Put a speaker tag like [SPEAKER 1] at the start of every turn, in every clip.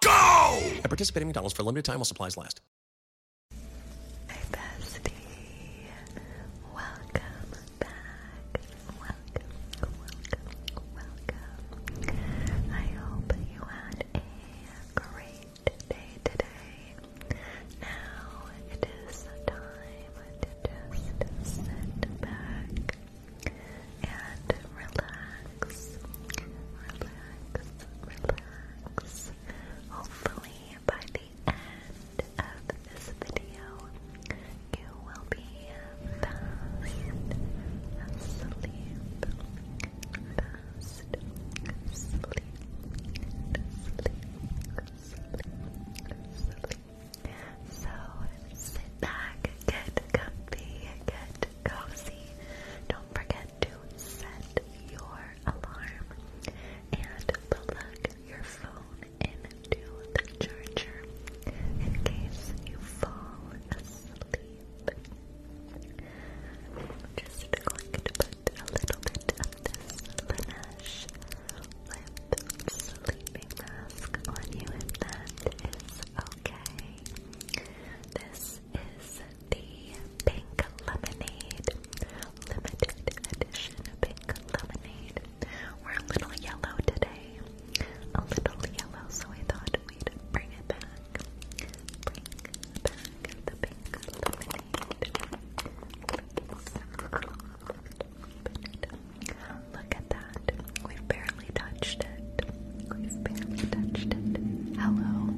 [SPEAKER 1] go! At participating McDonald's for a limited time while supplies last. Hey, bestie. Welcome back. Welcome, welcome, welcome. I hope you had a great day today. Now it is time to just
[SPEAKER 2] sit back and relax, relax, relax. Hopefully, by the end of this video, you will be fast asleep, fast asleep. Sleep, sleep, sleep. So sit back, get comfy, get get Don't forget to set your alarm and plug your phone into the charger in case you fall asleep. just going to put a little bit of this Laneige lip sleeping mask on you if that is Okay. This is the pink lemonade. Limited edition pink lemonade. We're a little yellow today. A little yellow, so I thought
[SPEAKER 3] we'd bring it back. Bring back the pink lemonade. Look at that. We've barely barely touched it. have touched it. Hello.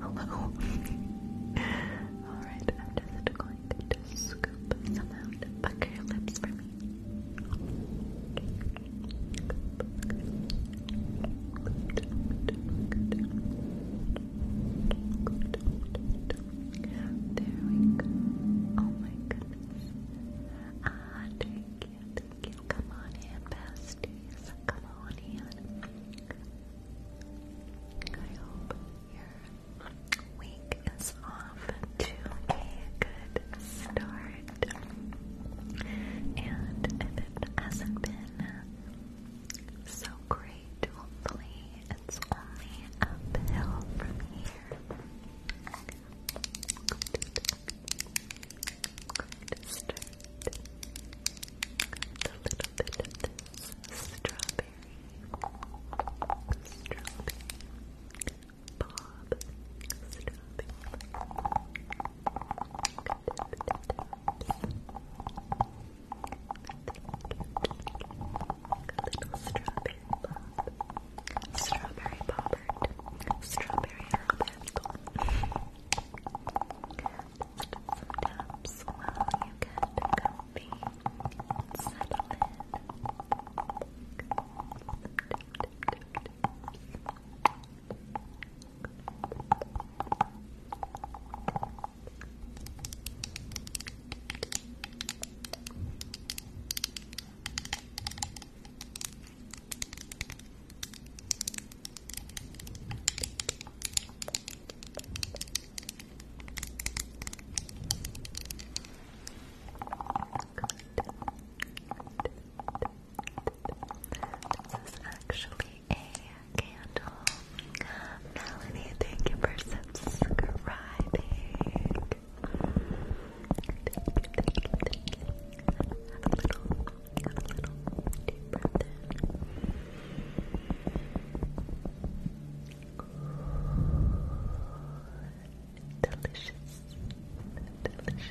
[SPEAKER 3] Hello. Alright, I'm just going to scoop some out. Pucker your lips for me. There we go. Oh my goodness. Ah, take thank you. Come on in, Come on in. I hope your week is off to a good start. And if it hasn't been so great, hopefully it's only uphill from here to start with a little bit of this strawberry, strawberry, bob, strawberry. A little strawberry bob, strawberry bobbert, strawberry Alberto, some taps while you comfy settle in. This
[SPEAKER 2] is actually a candle. Melanie, thank you for subscribing. Take a Delicious, delicious.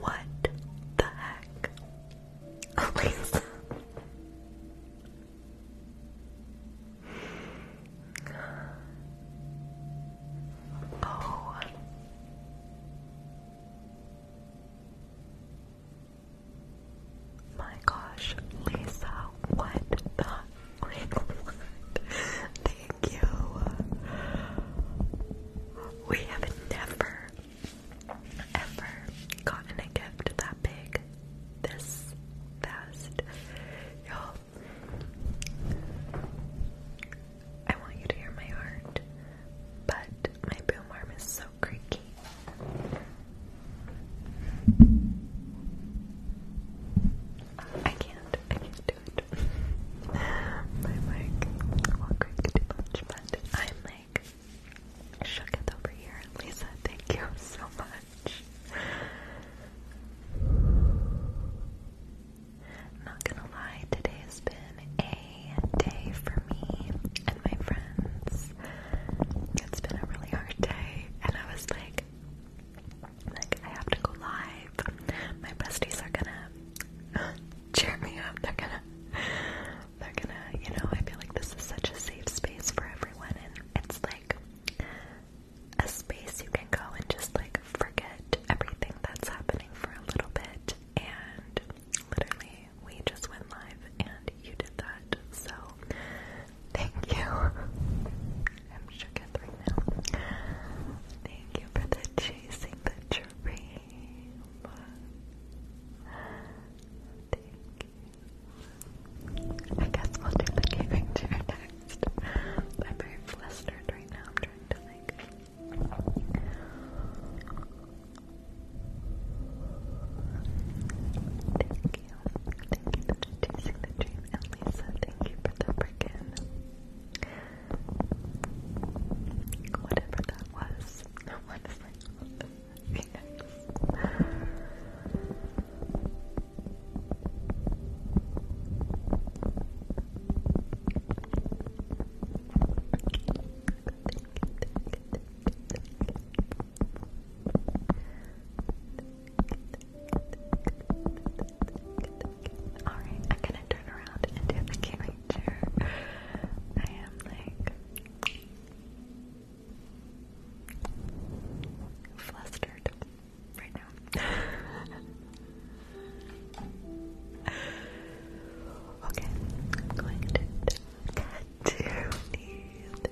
[SPEAKER 2] What the heck? Elisa. oh.
[SPEAKER 3] My gosh, Lisa, what the frick? Thank you. We have never, ever gotten a gift that big this fast. Y'all, I want you to hear my heart, but my boom arm is so I can't. I can't do it. My mic I'm like shooketh over here. Lisa, thank you so much. not gonna lie, today has been a day for me my friends? It's been a really hard day, and I was like, like I have to go live. My besties are gonna cheer me up. They're gonna, they're gonna, you know. I feel like this is such a safe space for everyone, and it's like a space you can go and just like forget everything that's happening for a little bit, and literally we just went live and you did that. So thank you. I'm shook right now. Thank you for the chasing the dream. Thank you. I guess we'll do the gaming chair next. I'm very flustered right now. I'm trying to like Thank you. Thank you for choosing dream. And thank you for the freaking whatever that was. Honestly. yes. Thank Alright, I'm gonna turn around and do the gaming chair. I am like flustered right now. okay, I'm going to do cat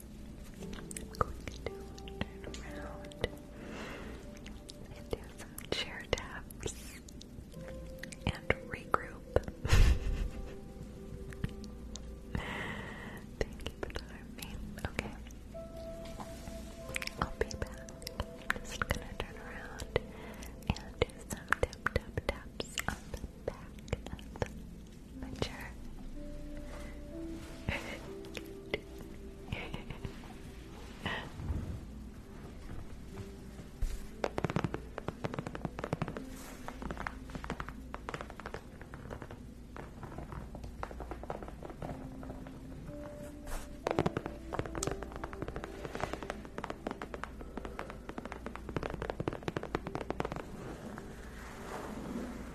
[SPEAKER 3] going to turn around and do some chair taps and regroup. Thank you for the Okay. I'll be back. just gonna turn around and do some tap tap taps on back mature.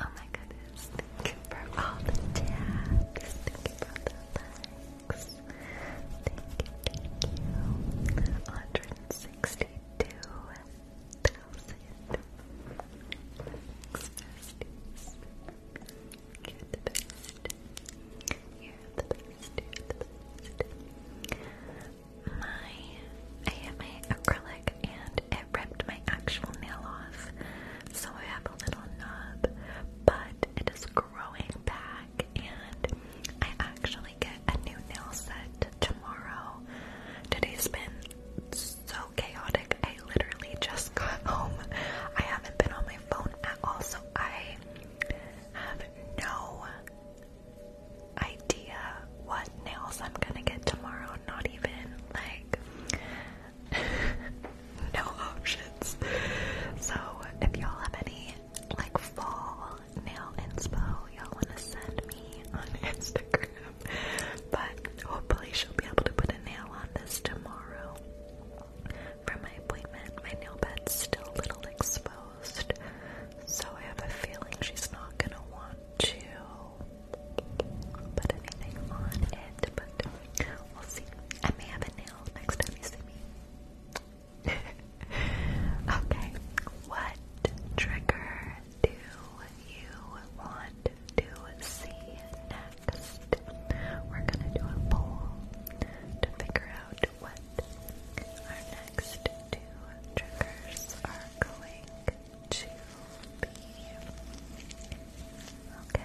[SPEAKER 3] Oh my goodness, thank you all the tabs, thank you the likes thank you, 162,000. You're the best. You're the best. My, I hit my acrylic and it ripped my actual nail off, so I have a little nub, but it is growing back back, and I actually get a new nail set tomorrow. Today's been so chaotic. I literally just got home. I haven't been on my phone at all, so I have no idea what nails I'm gonna get tomorrow. Not even like no options. So if y'all have any like fall nail spell, y'all want to send me on Instagram. But hopefully she'll be able to put a nail on this tomorrow. For my appointment, my nail bed's still a little exposed. So I have a feeling she's not going to want to put anything on it. But we'll see. I may have a nail next time you see me. okay, what trigger do you want to see next? We're gonna do a poll to figure out what our next two triggers are going to be. Okay.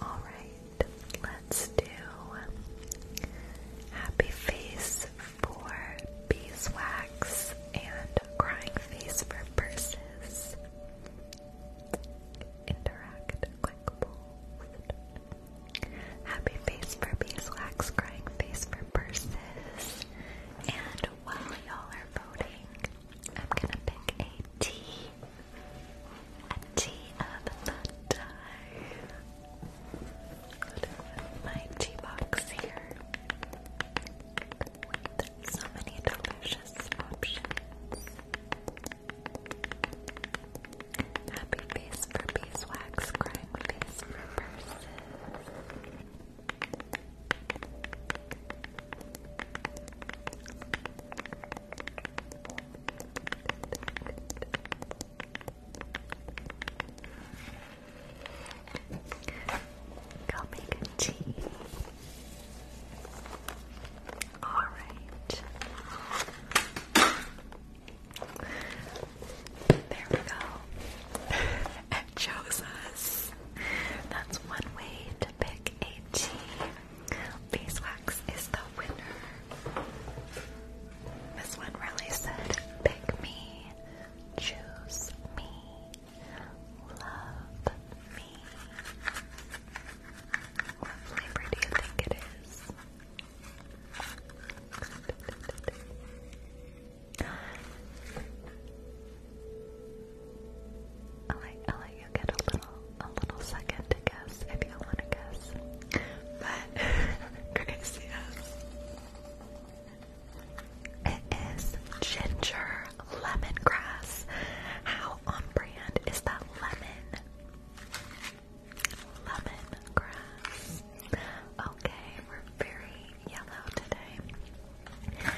[SPEAKER 3] All right, let's do happy face for beeswax and crying face for purses. Interact quick Happy face for beeswax, crying face for purses, and while y'all are voting, I'm gonna pick a tea. A tea of the time. My tea box here. so many delicious options. Happy face for beeswax, crying face for purses.
[SPEAKER 2] Go make a tea. All right. There we go. It chose us. That's one way to pick
[SPEAKER 3] a team. Beeswax is the winner. This one really said, pick me, choose me, love me. What flavor do you think it is? I'll let, get a little a little second to guess if you want to guess. But Grace, It is ginger lemongrass. How on brand is that lemon? Lemon grass. Okay, we're very yellow today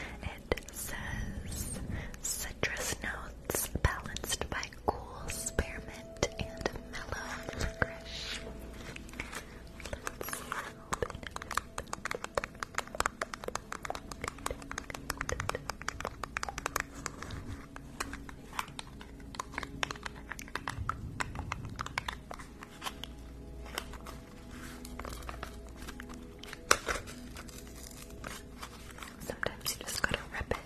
[SPEAKER 3] says citrus notes balanced by cool spearmint and mellow licorice. Sometimes you just gotta rip it.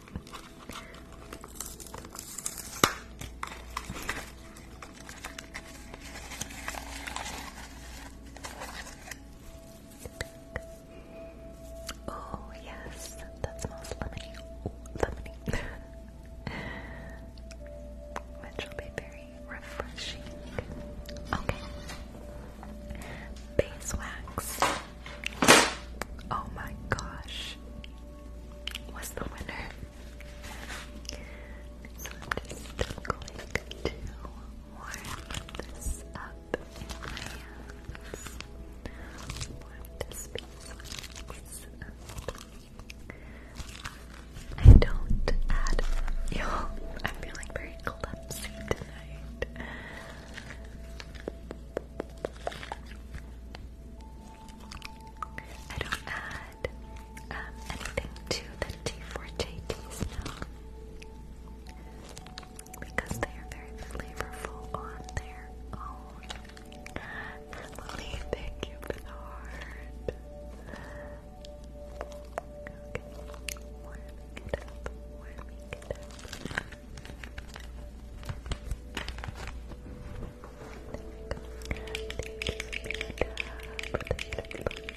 [SPEAKER 3] Oh yes, that smells lemony. Ooh, lemony. Which will be very refreshing. Okay. Beeswax. Oh my gosh. What's the winner? So I'm just going to warm this up Warm this beeswax I don't add yo. I'm feeling very clumsy tonight. I don't add um, anything to the T4JTs now because they are very flavorful on their own. Lily, thank you for the heart. Okay, warming it up, warming it up. There we go. Thank you.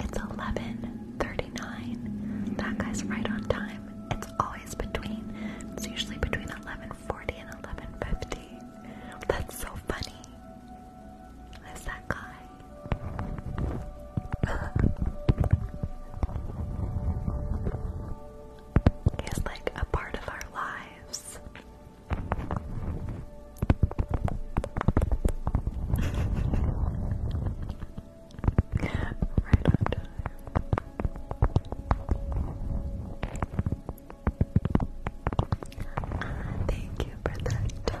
[SPEAKER 3] it's 11:39. That guy's right on time. It's always between. It's usually between 11:40 and 11:50. That's so funny. Is that guy? He's like a part of our lives right on time. thank you for that talk.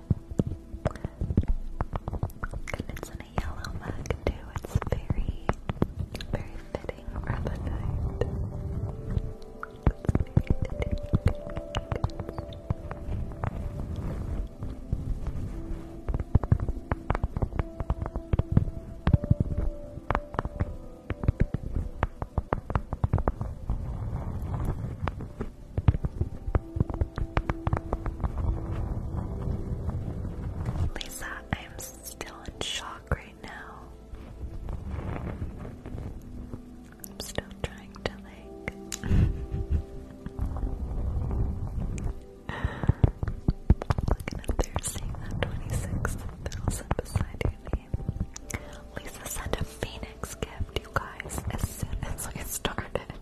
[SPEAKER 3] And it's in a yellow mug too. It's very, very fitting for the night. Lisa, I am still in shock right now. I'm still trying to like looking up there, twenty-six thousand beside your name. Lisa sent a phoenix gift, you guys, as soon as I started.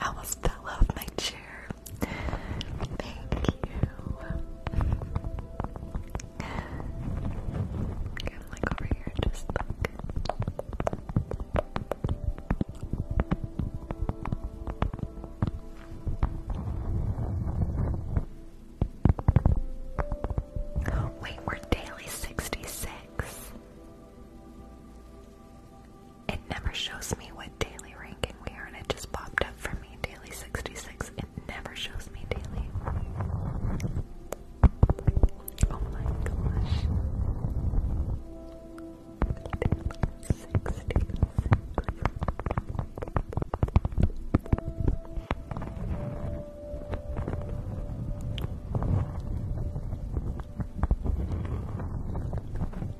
[SPEAKER 3] I almost fell off my chair. Thank you.
[SPEAKER 2] Wait, we're daily 66.
[SPEAKER 3] It never shows me what daily ranking we are, and it just popped up for me daily 66. It never shows me daily. Oh my gosh.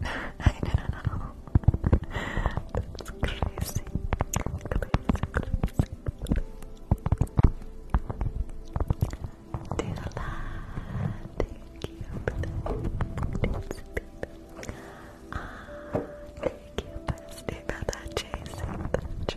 [SPEAKER 3] I don't know. That's crazy. Crazy, crazy. Dear thank you for that. Ah, thank you, bestie, for that, Jason. That's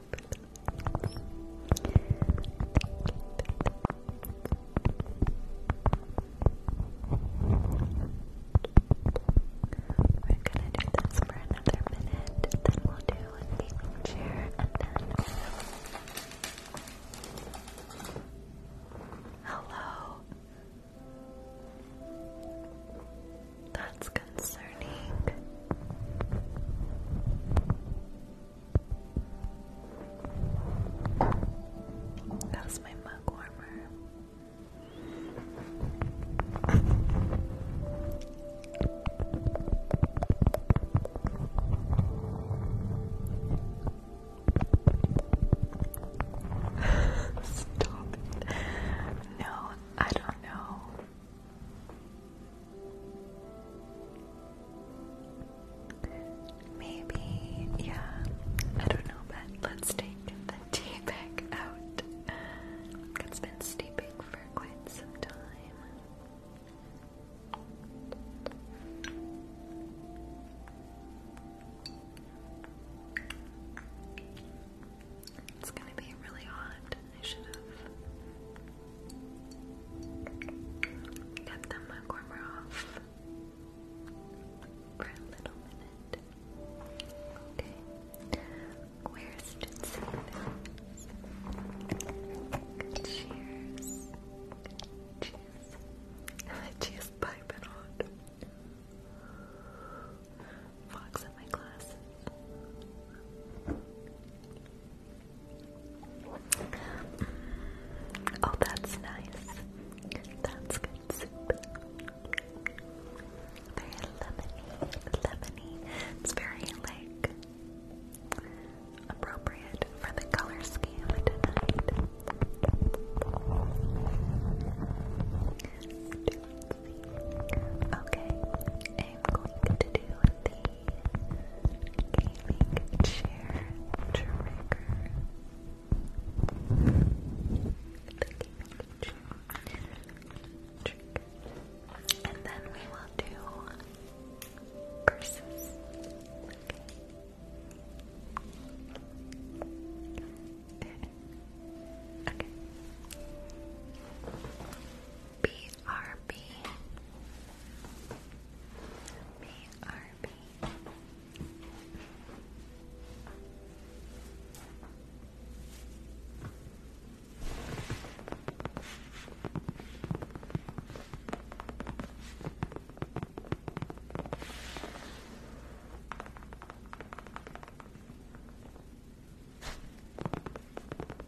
[SPEAKER 3] We're gonna do this for another minute, then we'll do a gaming chair, and then Hello. That's concerning. That was my mug warmer. Stop it. No, I don't know. Maybe, yeah, I don't know, but let's take the tea bag out. It's been steeping for quite some time. It's gonna be really hot. I should have Get the mugwormer off for a little minute. Okay. Where's Jitsu? Cheers. Cheers. Cheers piping hot. Fox in my glasses. Oh, that's nice. That's good soup. Very lemony, lemony. It's very like appropriate for the color scheme tonight. Okay, I'm going to do the gaming chair trigger. The gaming chair trigger. And then we will do curses. Okay. Okay. BRB BRB. All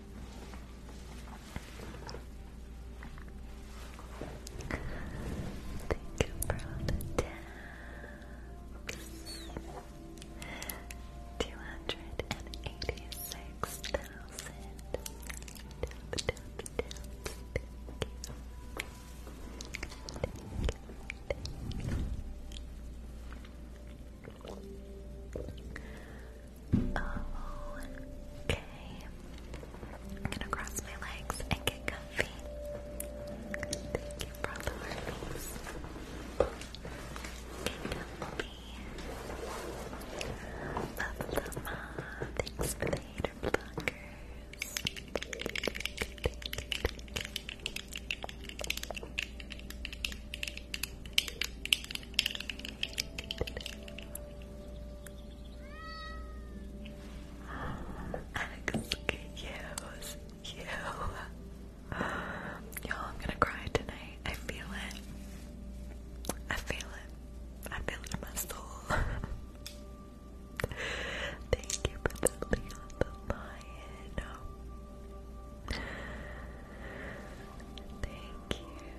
[SPEAKER 3] Thank you for all Two hundred and eighty-six thousand. Okay. I'm gonna cross my legs and get comfy. Thank you for the Love the mom. Thanks for the hater blockers. Thank Excuse you. Y'all, I'm gonna cry tonight. I feel it. I feel it. I feel it in my soul. Thank you for the Lion. Thank you.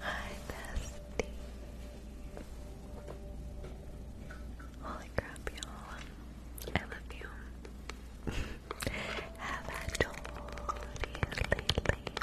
[SPEAKER 3] Hi, bestie. Holy crap, y'all. I love you. Have I told you lately that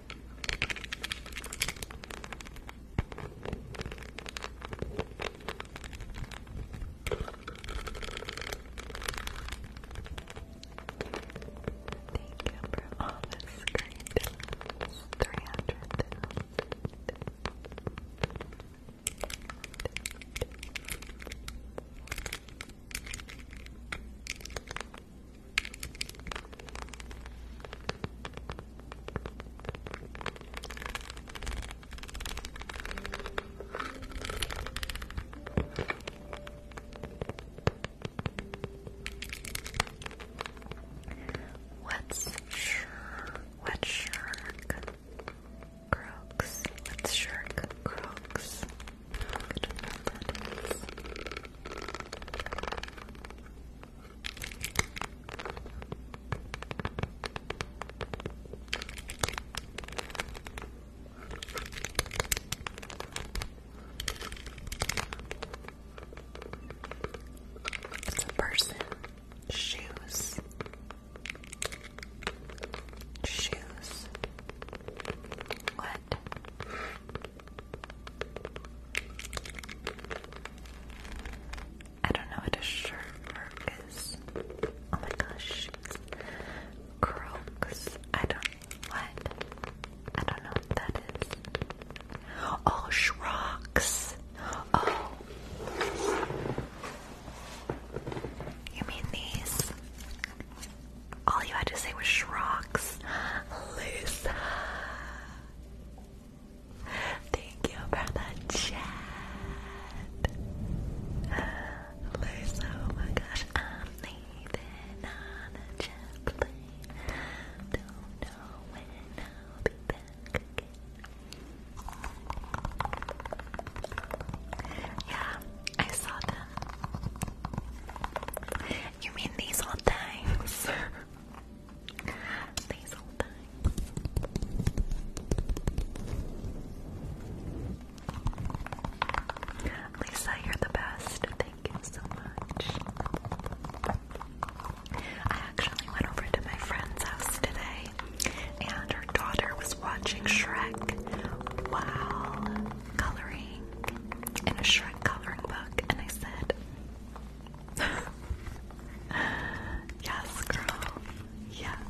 [SPEAKER 3] for all this great donuts. 300 donuts. What's sure? What's shirk? Crooks. What's shirk? Crooks. Good it's a person. Shoes. Shoes. What?
[SPEAKER 2] I don't know what a shirt is. Oh my gosh.
[SPEAKER 3] Crocs. I don't what? I don't know what that is. Oh shrocks. Oh you mean these? all you had to say was Shrox. Lisa. Thank you for the chat. Lisa, oh my gosh, I'm leaving on a jet plane. Don't know when I'll be back again. Yeah, I saw them. You mean these old things? these old things. Lisa, you're the best. Thank you so much. I actually went over to my friend's house today, and her daughter was watching Shrek while coloring in a Shrek coloring book, and I said, yes, girl. Yes. Yes, girl.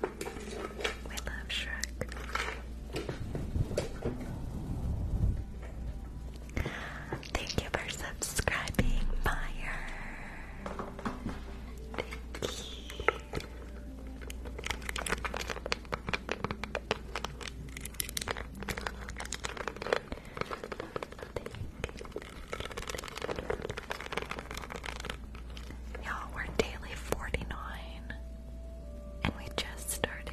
[SPEAKER 2] We love Shrek. Thank you for subscribing, Meyer. Thank you. Y'all, we're daily 49 and we just started.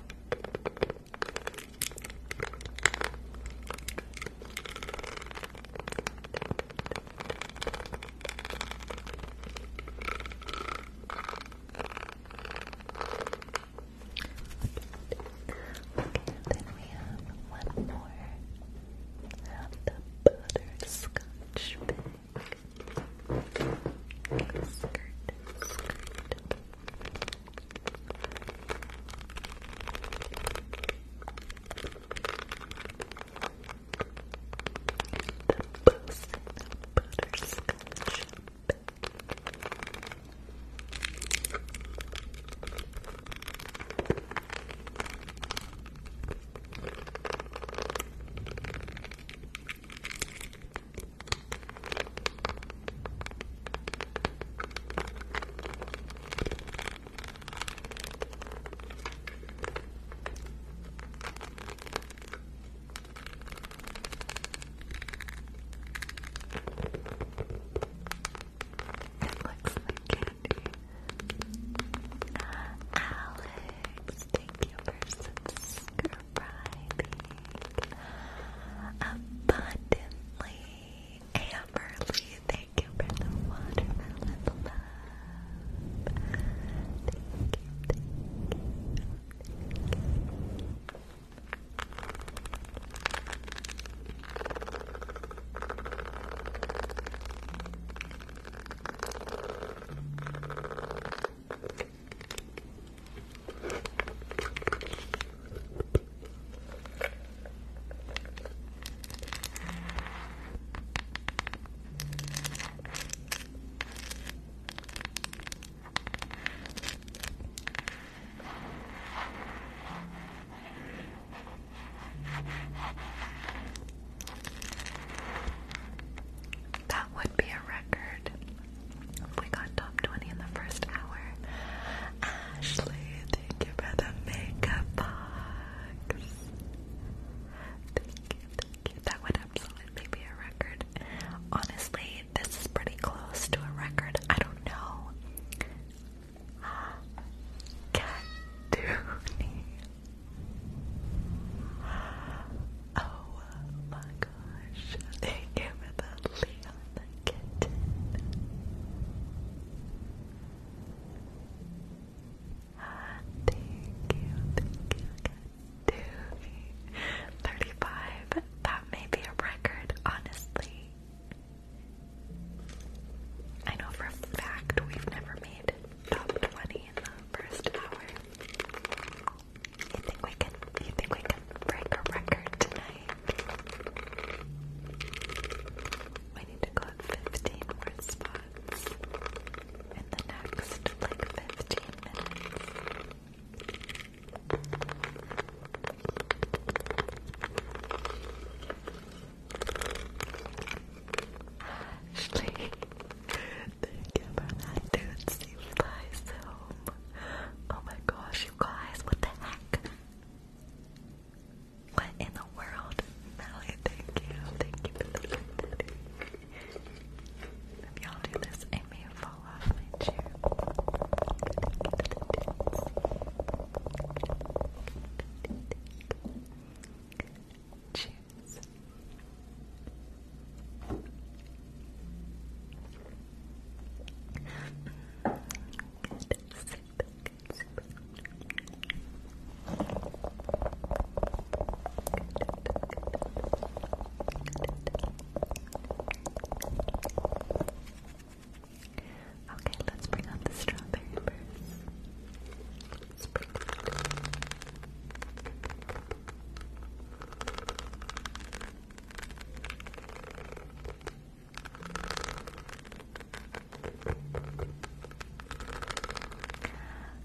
[SPEAKER 2] then we have one more. the butterscotch Skirt, skirt.
[SPEAKER 3] The boost butterscotch. It looks like candy. Alex, thank you for subscribing abundantly. Amberly, thank you for the watermelon love. Thank you, thank you. Thank you. That would be a record. We got top 20 in the first hour. Ashley, thank you for the makeup box. Thank you, thank you. That would absolutely be a record. Honestly, this is pretty close to a record. I don't know. Cat Dooney. Oh my gosh. Thank you for the Leon kitten. thank you, thank you, Katooey. 35, that may be a record, honestly. I know for a fact we've never made top 20 in the first hour. You think we can? You think we can break a record tonight? We need to go 15 more spots in the next like 15 minutes. Ashley, thank you for that dude. Flies home. Oh my gosh, you guys, what the heck? What in the world? Melly, thank you. Thank you for the y'all do this, I may fall off my chair. Cheers. Okay, let's bring out the strawberry birds.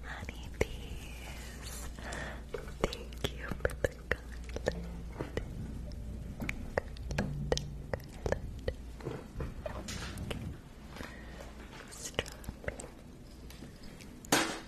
[SPEAKER 2] Honeybees, thank you for the garland. Garland, garland. Strawberry.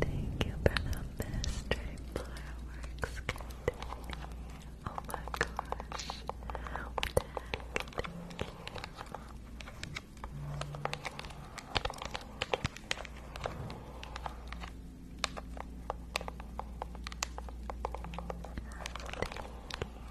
[SPEAKER 2] Thank you for the mystery Oh my gosh. What the you. Thank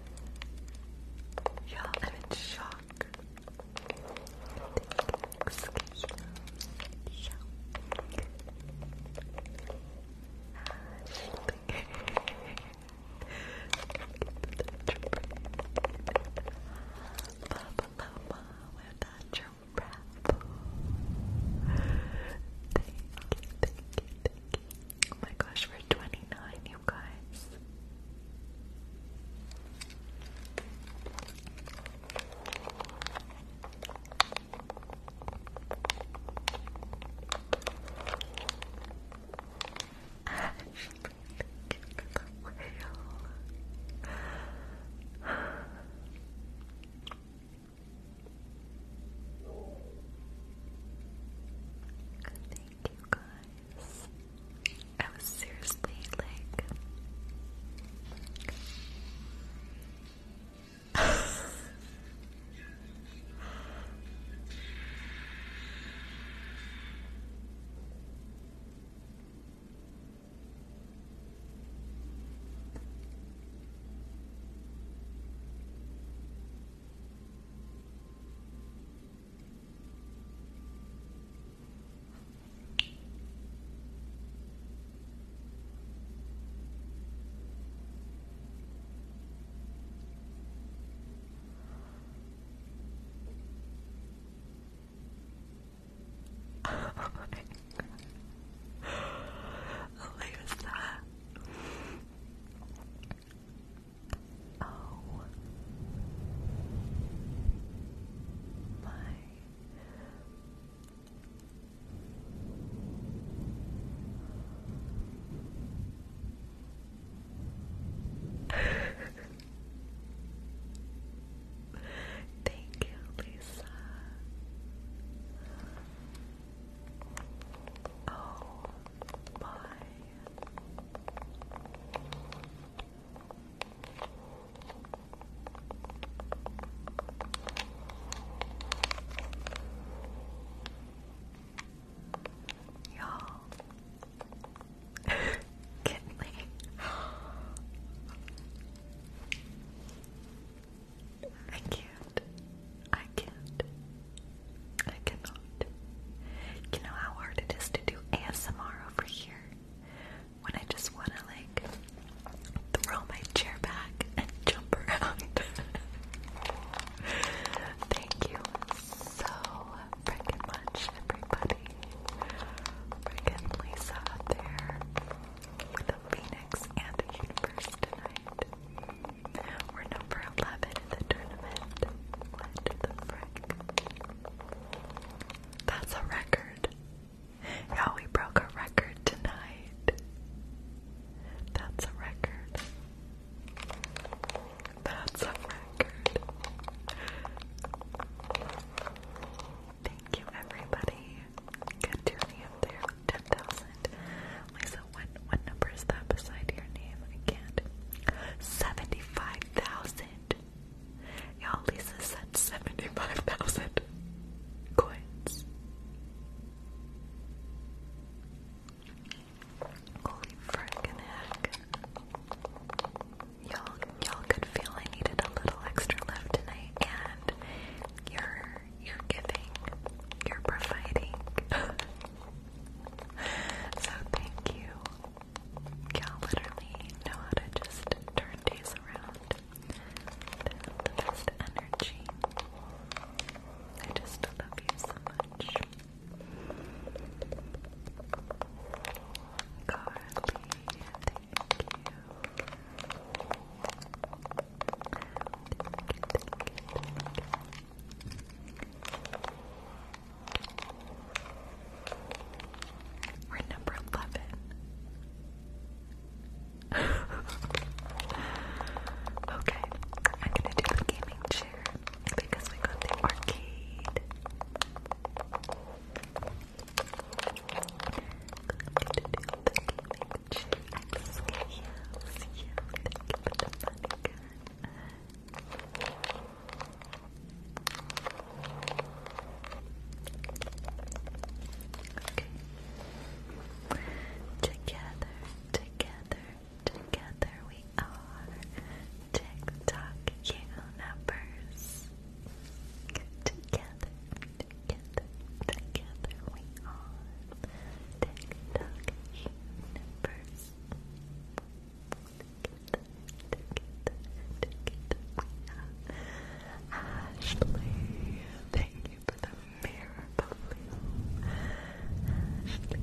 [SPEAKER 2] Y'all, I'm in shock. Excuse me. Yeah. Loma, we're not your raffle. Thank you, thank you, thank you. Oh my gosh,
[SPEAKER 3] we're 29, you guys. Ashley, thank you for the whale. Thank you guys. I was seriously like. Oh my god. Lose that. Oh my Thank you, Lisa. Oh my Y'all, Kinley. I can't. I can't. I cannot. You know how hard it is to do ASMR over here? When I just want to, like, throw my chair back and jump around. Thank you so freaking much, everybody. Freaking Lisa there with a phoenix and a universe tonight. We're number 11 in the tournament. What the frick? That's a record. Yeah, we broke a record tonight. That's a record. That's a record. Thank you, everybody. Good journey up there. 10,000. Lisa, what, what number is that beside your name? I can't. 75,000. Y'all, Lisa sent 75,000 coins. Holy frickin' heck. Y'all, y'all could feel I needed a little extra love tonight, and you're, you're giving, you're providing. so thank you you literally know how to just turn days around the best energy. I just love you so much. Carly, thank you. We're number 11. okay, I'm gonna do the gaming chair because we got the arcade. I'm gonna do the gaming chair. I just can't you. Thank you Together, together, together we are TikTok universe. Together, together, together we are TikTok universe. Ashley, thank you for the mirror blue. Ashley,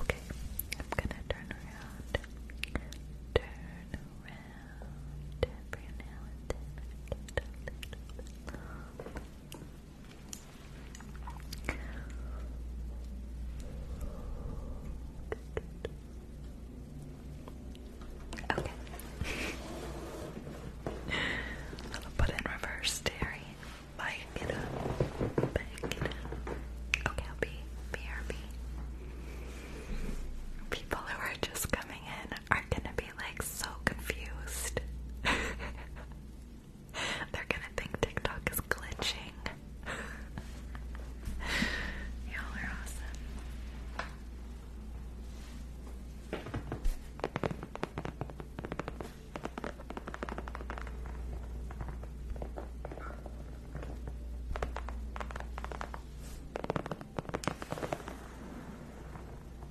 [SPEAKER 3] Okay, I'm gonna turn around. Turn around Okay. i put in reverse, Terry. Back Okay, I'll be BRB. People who are just coming in are gonna be like so confused. They're gonna think TikTok is glitching. Y'all are awesome.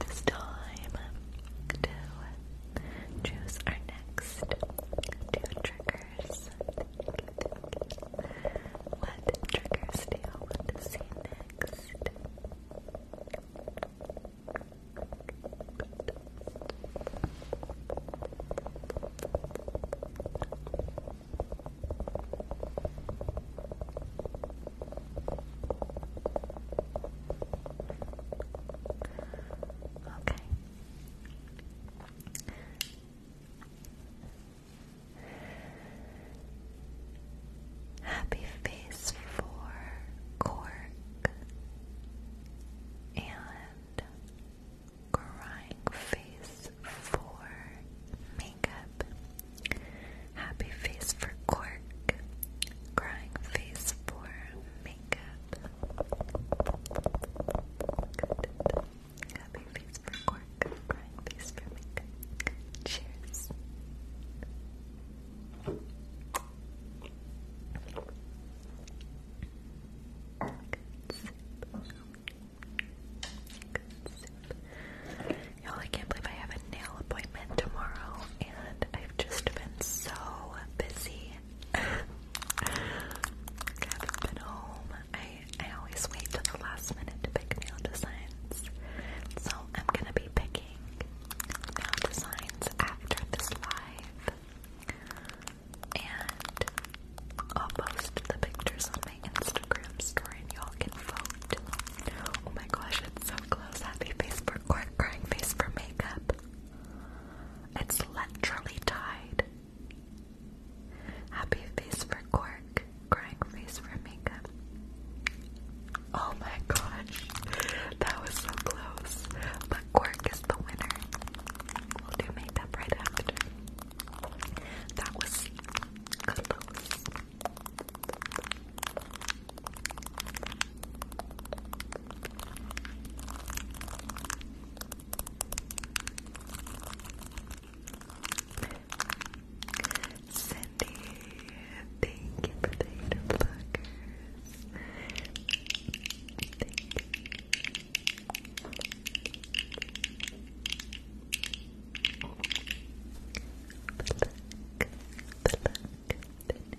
[SPEAKER 3] This time to choose our next two triggers. What triggers do you want to see next? Okay. Happy face for cork and crying face for makeup. Happy face for cork. Crying face for makeup. Happy face for cork. Crying face for makeup. Cheers. Y'all, I can't believe I have a nail appointment tomorrow, and I've just been so busy. I haven't been home. I, I always wait till the last minute to pick nail designs. So I'm gonna be picking nail designs after this live. And I'll post the pictures on my Instagram story and y'all can vote. Oh my gosh, it's so close happy face for quirk, crying face for makeup. It's literally tied. Happy face for quirk, crying face for makeup. Oh my gosh, that was so close. But quirk is the winner. We'll do makeup right after. That was close. Cindy, thank you for the eight Thank you. The luck, the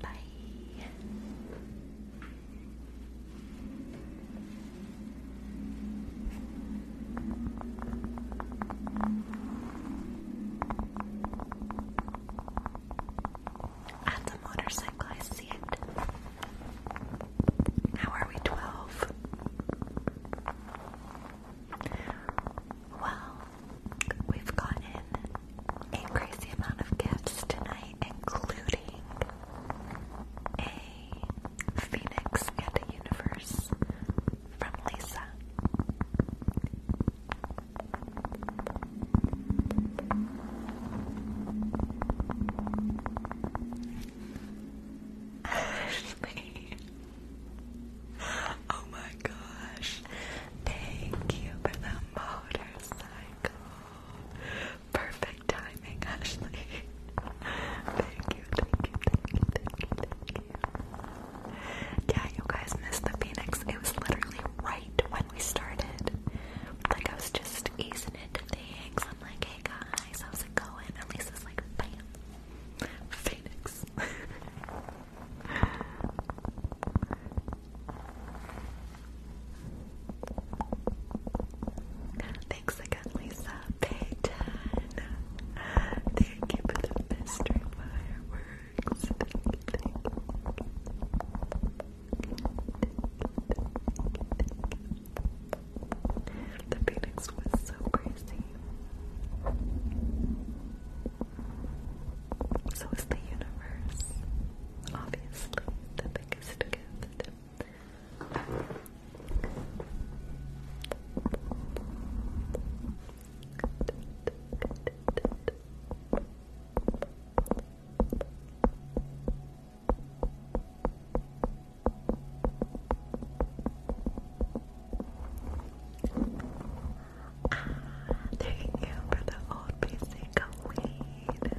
[SPEAKER 3] Bye. That's a motorcycle, I see it. How are we 12? Well, we've gotten a crazy amount of gifts tonight, including a phoenix and a universe from Lisa. Ashley. Oh my gosh. Thank you for the motorcycle. Perfect timing, Ashley. thank you, thank you, thank you, thank you, thank you. Yeah, you guys missed the Phoenix. It was literally right when we started. Like, I was just easing into things. I'm like, hey guys, how's it going? And Lisa's like, Phoenix. Thanks again, Lisa. Payton. Thank you for the mystery fireworks. The Phoenix was so crazy. So is the universe. Obviously, the biggest gift. Ah, thank you for the old basic weed.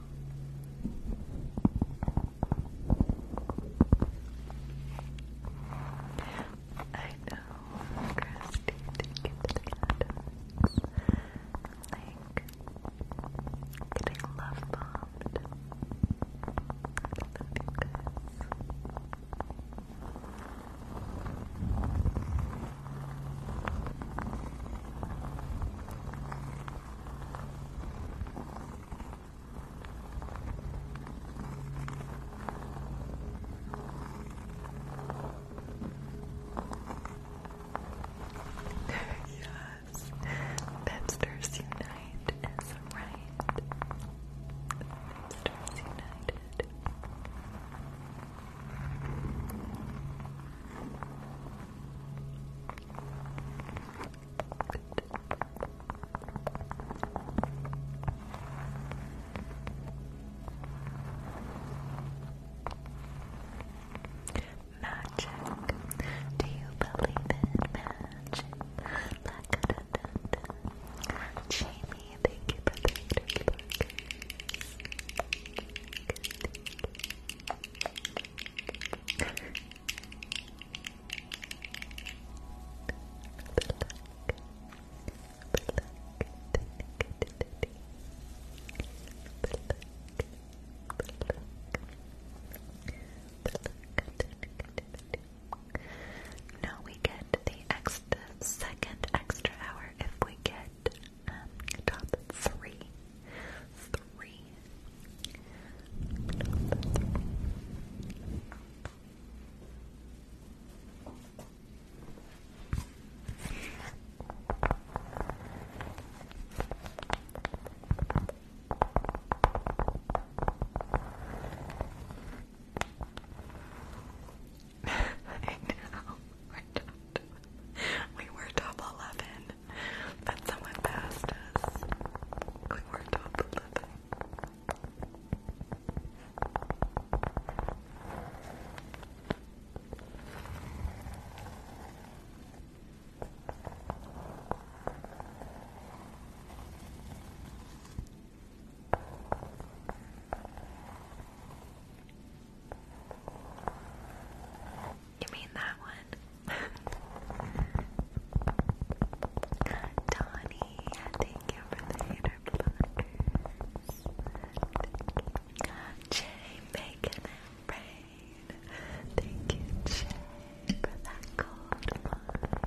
[SPEAKER 3] I know, Christy, thank you for the attacks. Like, getting love bombed. I love you yes, Pepsters Unite is right. Pepsters United. Magic. Do you believe in magic? La -da -da thank you for the thank no, we get the extra second extra hour if we get um, top three. Three. we were top eleven. that someone passed us. We weren't the living. You mean that one? Donnie, thank you for the hater butters. Jay, bacon and brain. Thank you, Jay, for that cold wine.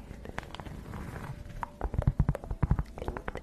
[SPEAKER 3] Thank you.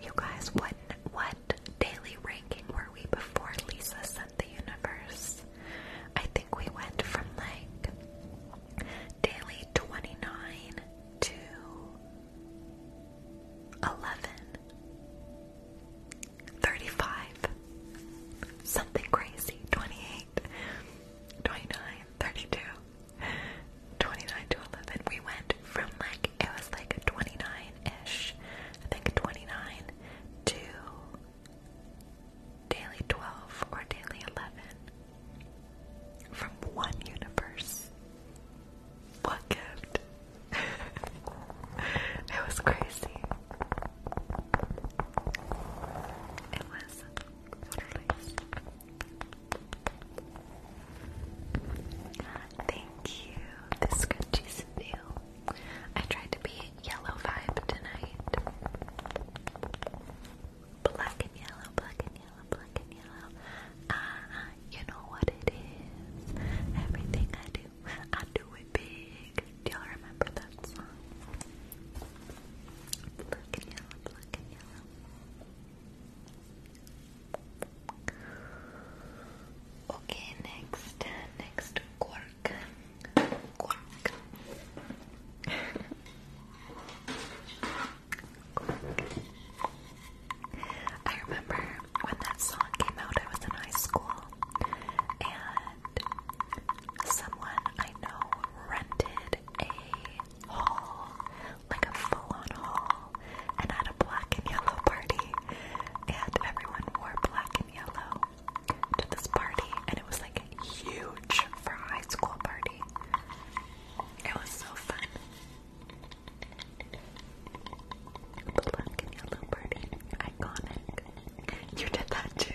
[SPEAKER 3] You guys, what what daily ranking were we before Lisa sent the universe? I think we went from like daily 29 to 11 something crazy 28 28, 29, 32, 29 to 11. We went from like, it was like 29 ish, I think 29 to daily 12 or daily 11 from one universe. What gift? it was crazy. It was released. Thank you. This scrunchies feel. I tried to be yellow vibe tonight. Black and yellow, black and yellow, black and yellow. Ah, you know what it is. Everything I do, I do it big. Do y'all remember that song? Black and yellow, black and yellow. Okay, next, next Quark. quark. I remember when that song came out, I was in high school, and someone I know rented a hall, like a full-on hall, and had a black and yellow party, and everyone wore black and yellow to this party, and it was like huge for a high school party. It was so fun. Black and yellow party. You did that too.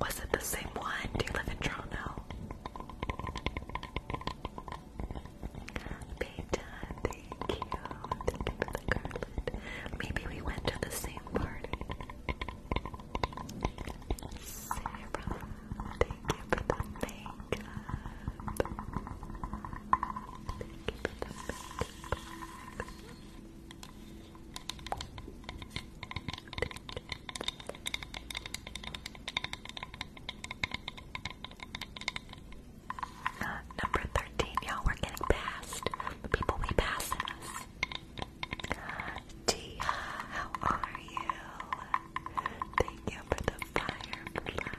[SPEAKER 3] Was it the same one? Do you live in Toronto? thank you. Thank you for the garland. Maybe we went to the same party. thank you for the makeup. Thank you for the makeup. Uh, number 13, y'all, we're getting past the people we pass us. Tia, uh, how are you? Thank you for the fireflies.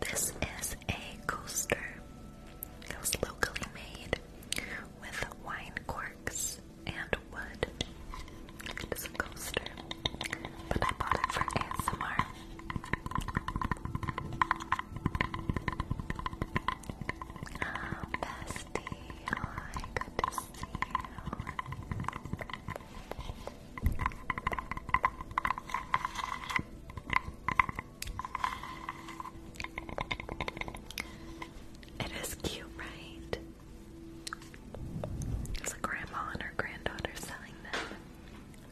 [SPEAKER 3] This is a coaster. It was locally made with wine corks and wood. It is a coaster, but I bought it for ASMR. Ah, bestie, oh, good to see you. It is cute, right? It's a grandma and her granddaughter selling them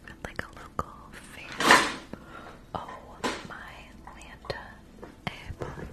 [SPEAKER 3] at like a local fair. Oh my Lanta, I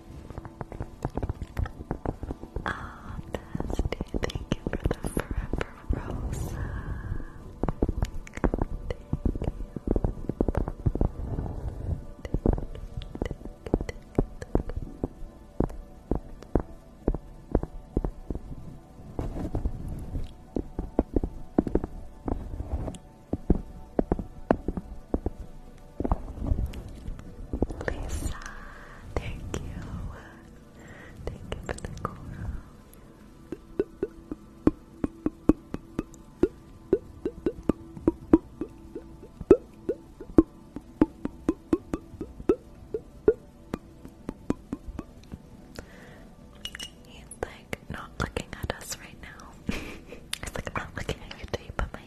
[SPEAKER 3] Ah, Bestie, thank you for the forever rose. Lisa, thank you. Thank you for the coral.
[SPEAKER 2] He's like not looking at us right now. It's like I'm not looking at your but my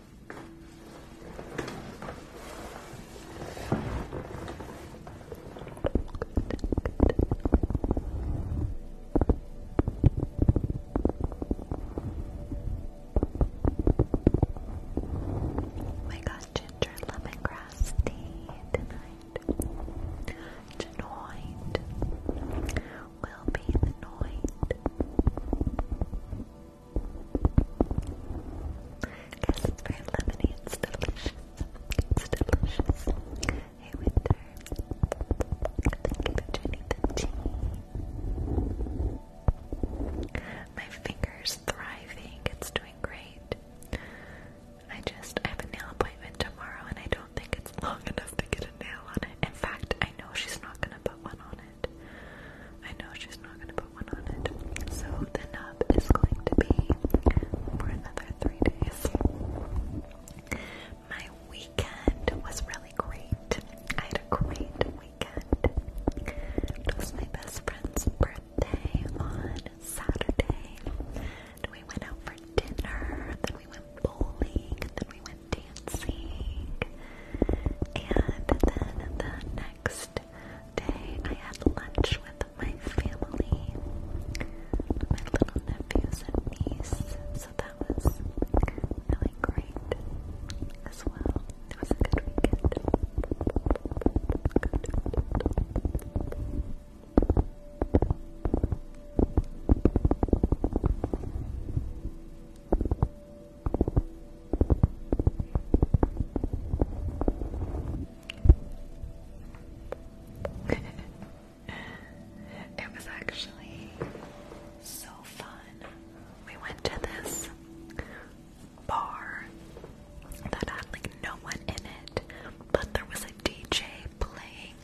[SPEAKER 2] We oh got ginger lemongrass tea tonight. Tonight will be the Guys, it's very lemony. It's delicious. It's delicious. Hey, Winter. Thank you for joining the tea. My finger's thriving. It's doing great. I just, I have a nail appointment tomorrow and I don't think it's long enough to get a nail on it. In fact, I know she's not gonna put one on it. I know she's not gonna put one on it. So the nub is going to be for another three days. My weekend was really great. I had a great weekend. It was my best friend's birthday on Saturday. And we went out for dinner, then we went bowling, and then we went dancing.
[SPEAKER 3] And then the next day, I had lunch with my family, my little nephews and niece, so that was really great as well. It was a good weekend. it was actually so fun. We went to this bar that had like no one in it, but there was a DJ playing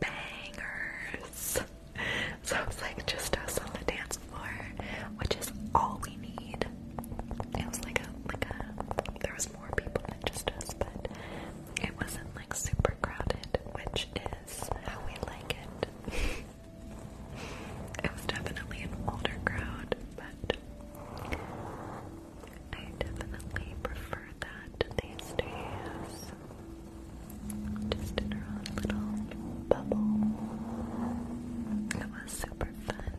[SPEAKER 3] bangers. So it was like just us on the dance which is all we need. It was like a like a there was more people than just us, but it wasn't like super crowded, which is how we like it. it was definitely an older crowd, but I definitely prefer that these days. Just in our little bubble. It was super fun.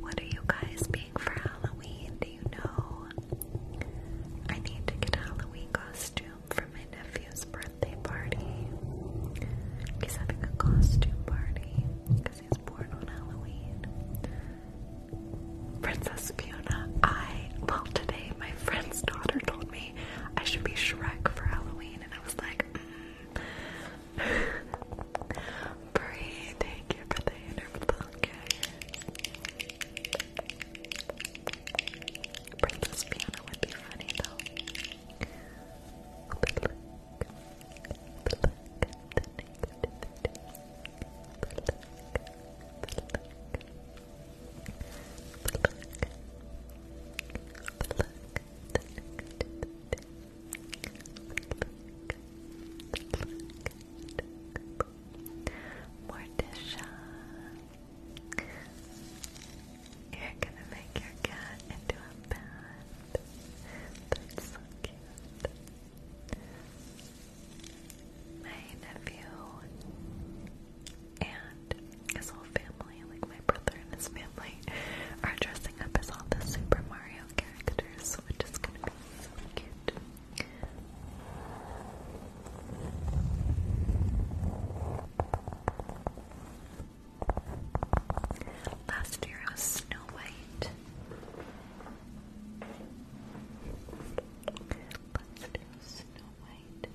[SPEAKER 3] What are you guys being for Halloween? Do you know? I need to get a Halloween costume for my nephew's birthday party. He's having a costume party Princess Fiona, I, well, today my friend's daughter told me I should be Shrek for Halloween, and I was like, breathe. Mm. Bree, thank birthday, for the interval, okay? Princess Fiona would be funny, though. Morticia, you're gonna make your cat into a bat. That's so cute my nephew and his whole family, like my brother and his family, are dressing up as all the Super Mario characters, which is gonna be so cute. Last year was Snow White. Let's do Snow White.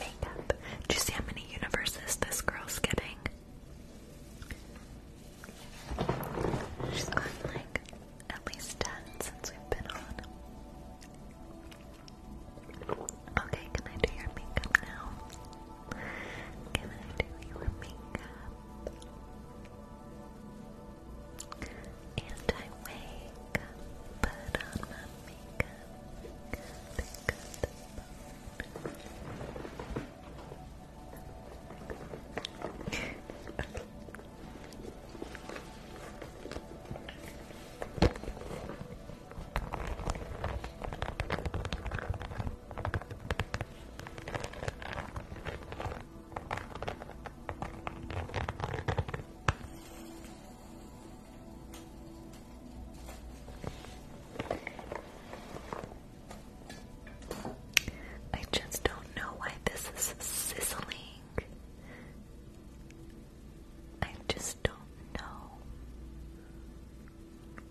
[SPEAKER 3] Makeup. Do you see how many universes this girl's getting? She's gotten like at least 10 since we've been on. Okay, can I do your makeup now? Can I do your makeup? And I wake up, put on my makeup. I just don't know why this is sizzling. I just don't know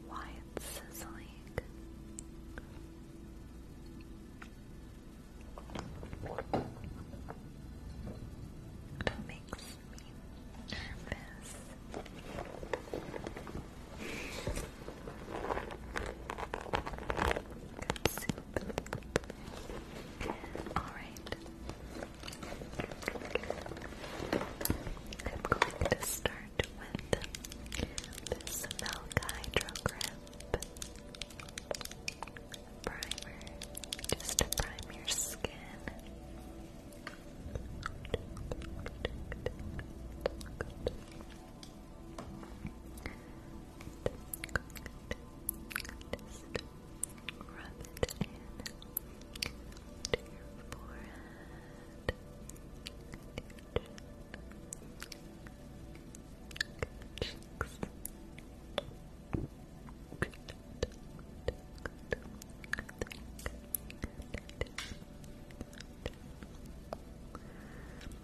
[SPEAKER 3] why it's sizzling. It makes me nervous. Alright. I'm going to start start with this Milk primer, just to prime your skin. rub it in to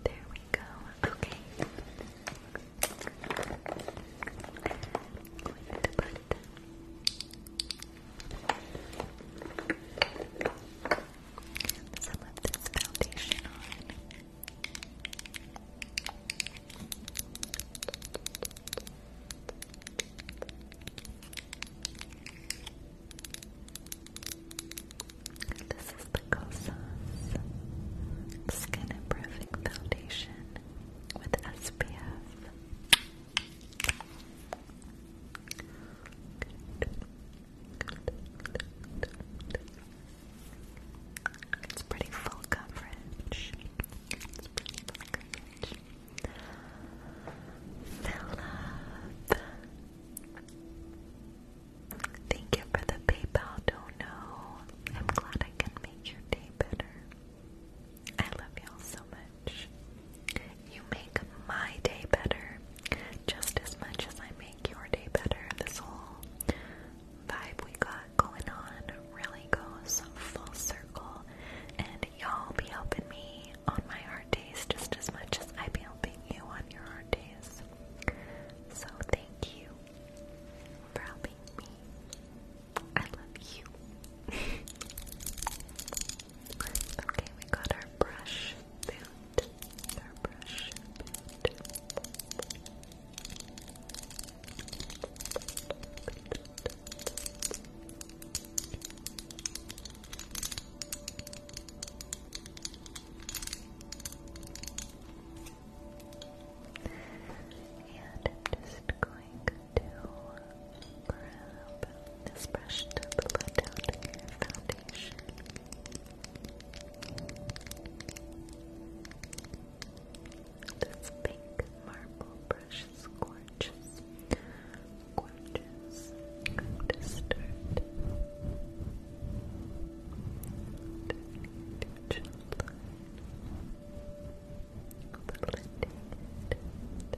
[SPEAKER 3] there we go. Okay. I'm going to put some of this foundation on. This is the Kosas Skin and Foundation with SPF. It's pretty full coverage. It's Thank you for the PayPal dono. I'm glad I can make your day better. I love y'all so much. You make my day better just as much as I make your day better. This whole vibe we got going on really goes full circle, and y'all be helping me on my hard days just as much as I be helping you on your hard days. So, thank you for helping me. I love you. okay, we got our brush boot, airbrush And
[SPEAKER 2] I'm just going to grab this brush to blend foundation. This pink marble brush is gorgeous. Gorgeous. I'm going to start turning your jawline. Blending it.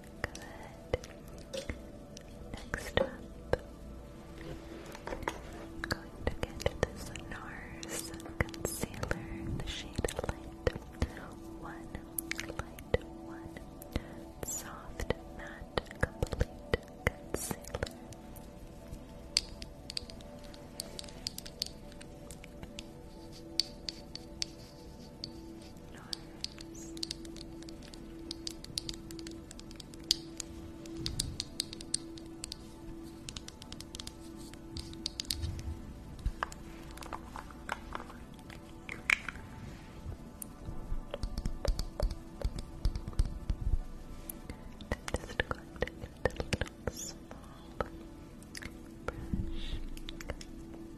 [SPEAKER 2] Next up, I'm going to get this NARS concealer in the shade Light 1. Light 1. Soft Matte Complete Concealer. Norris. I'm just going to get a little small brush.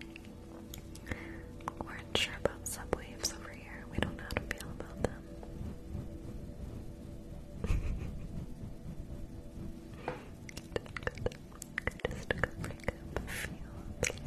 [SPEAKER 3] We are not sure about subwaves over here. We don't know how to feel about them. Just go break up a few of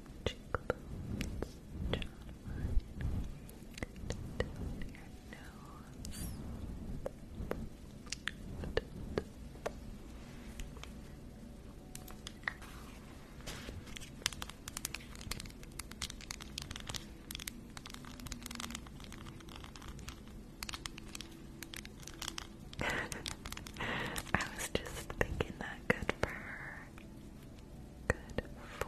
[SPEAKER 3] cheekbones, jawline, and down your nose. I was just thinking that good for her. Good for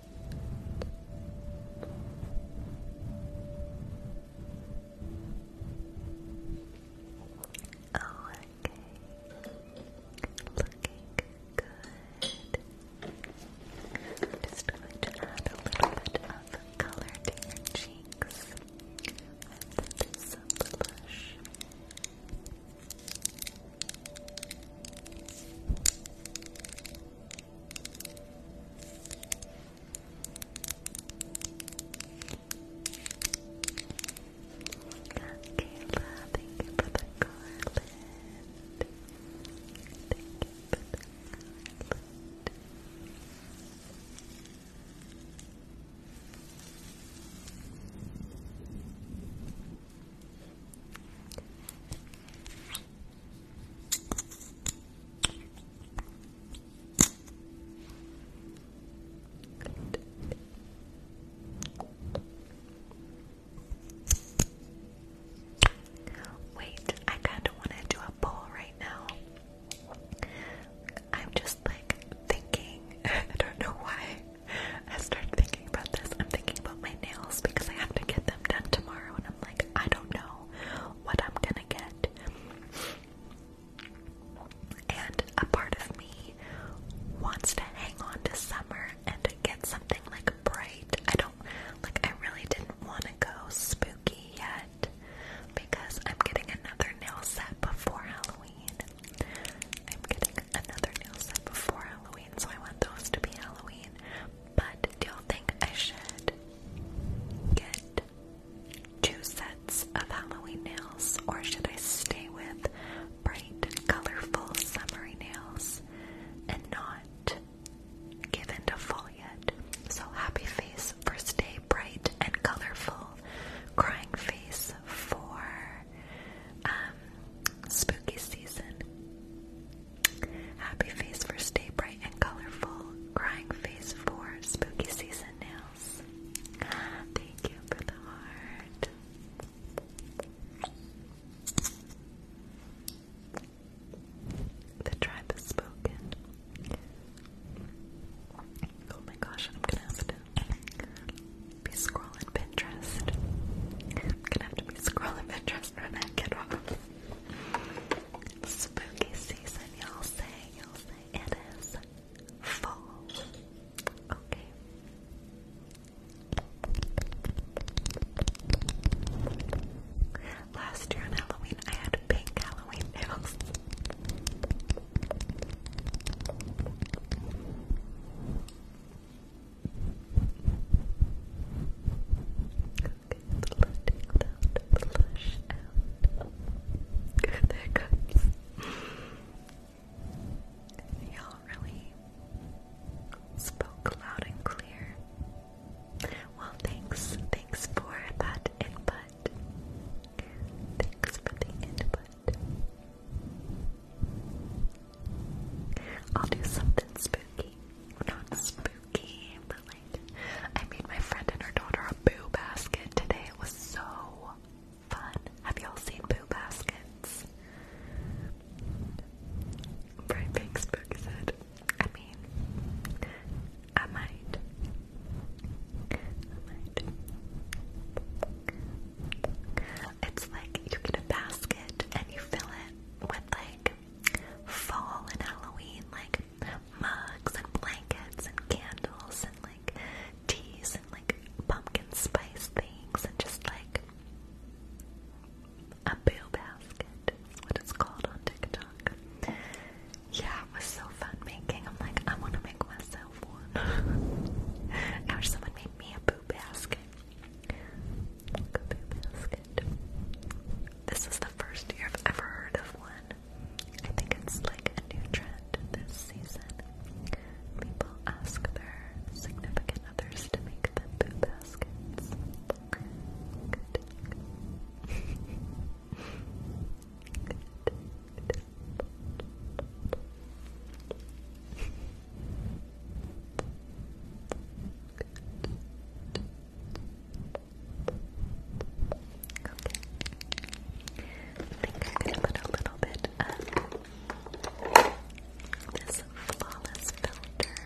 [SPEAKER 3] Oh, okay. Looking good. just going to add a little bit of color to your cheeks with this blush. Kayla, thank you for the garland. Thank you for the garland. Thank Wait, I kind of want to do a poll right now. I'm just like thinking, I don't know why I started thinking about this. I'm thinking about my nails because I have to get them done tomorrow, and I'm like, I don't know what I'm gonna get. And a part of me wants to hang on to summer and to get something like bright. I don't like I really didn't want to go spooky yet because I'm getting another nail set before Halloween. I'm getting another nail set before Halloween, so I want those to be Halloween. But do you think I should get two sets of Halloween nails, or should I stay with bright, colorful, summery nails and not give to fall yet? So happy face for stay bright and colorful, crying face for um, spooky season. Happy face for stay bright and colorful. Crying face for spooky season nails. Thank you for the heart. The tribe has spoken. Oh my gosh, I'm gonna have to be scrolling Pinterest. I'm gonna have to be scrolling Pinterest for that kid Spooky season, y'all say, y'all say it is fall. Okay. Last year on Halloween, I had pink Halloween letting that flush out. there it goes. Y'all really spoke loud and clear. Well, thanks. Thanks for that input. Thanks for the input. I'll do something spooky. Not spooky. I made my friend and her daughter a boo basket today. It was so fun. Have y'all seen boo baskets? Bright Pink said, I mean, I might. I might. It's like you get a basket and you fill it with like fall and Halloween, like mugs and blankets and candles and like teas and like pumpkin spice things and just like a boo basket is what it's called on TikTok. Yeah, it was so fun making. I'm like, I want to make myself one. I wish someone made me a boo basket it. This is the first year I've ever heard of one. I think it's like a new trend this season. People ask their significant others to make them poo baskets. I think I'm gonna put a little bit of um, this flawless filter.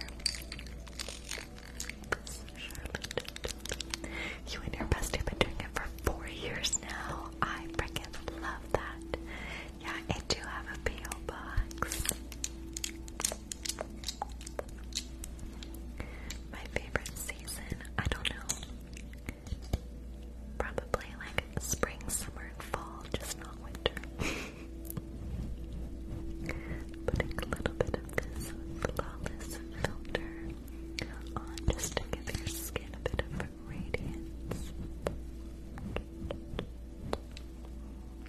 [SPEAKER 3] Charlotte. You and your bestie have been doing it for four years now. I freaking love that. Yeah, I do have a PO box. My favorite season, I don't know. Probably like spring, summer, and fall,
[SPEAKER 2] just not winter. Putting a little bit of this flawless filter on just to give your skin a bit of radiance.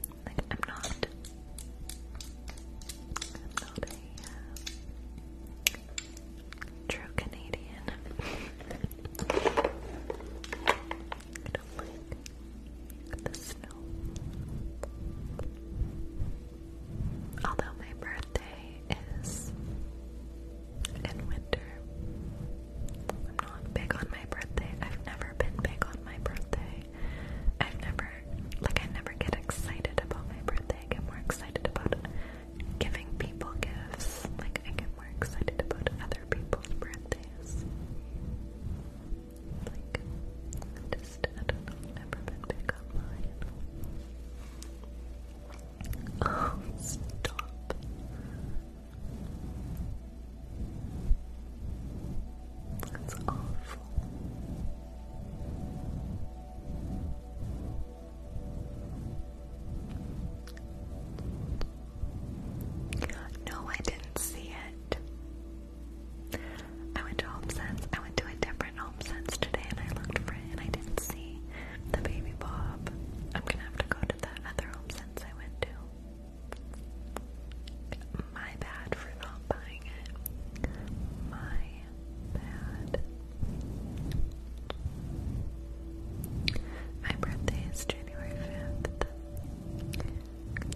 [SPEAKER 2] I'm not.
[SPEAKER 3] a true Canadian. I don't like the snow. Although my birthday is in winter. I'm not big on my birthday. I've never been big on my birthday. I've never, like, I never get excited about my birthday. I get more excited about giving people gifts. Like, I get more excited about other people's birthdays. Like, I just, have never been big online. Oh, stop. That's awful. No, I didn't see it. I went to Home I went to a different Home today and I looked for it and I didn't see the baby bob. I'm gonna have to go to that other Home I went to. My bad for not buying it. My bad. My birthday is January 5th.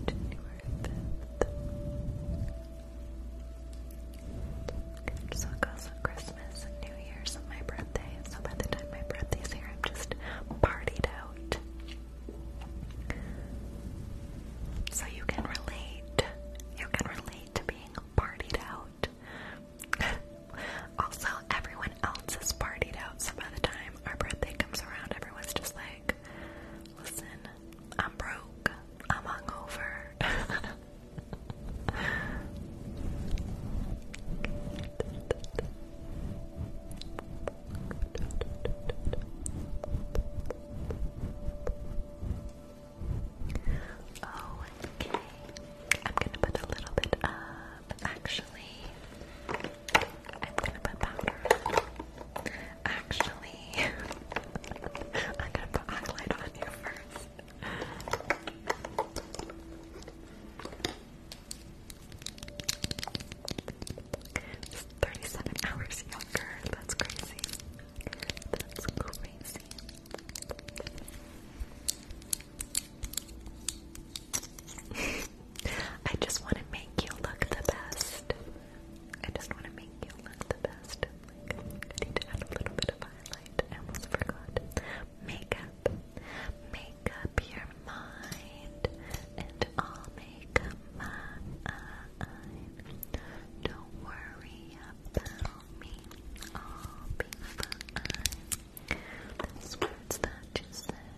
[SPEAKER 3] January 5th. So it goes with Christmas and New Year's and my birthday. So by the time my birthday's here, I'm just partied out. So you can relate. You can relate to being partied out. also, everyone else is partied out, so by the time our birthday comes around, everyone's just like, listen, I'm broke, I'm hungover. Oh, okay. I'm gonna put a little bit of actually I'm gonna put powder. Actually I'm gonna put highlight on you first. 37 hours younger, that's crazy. That's crazy. I just want to make you look the best. I just want to make you look the best. need to add a little bit of highlight. almost forgot. Makeup. Make up your mind. And I'll make up Don't worry about all people I, those words that you said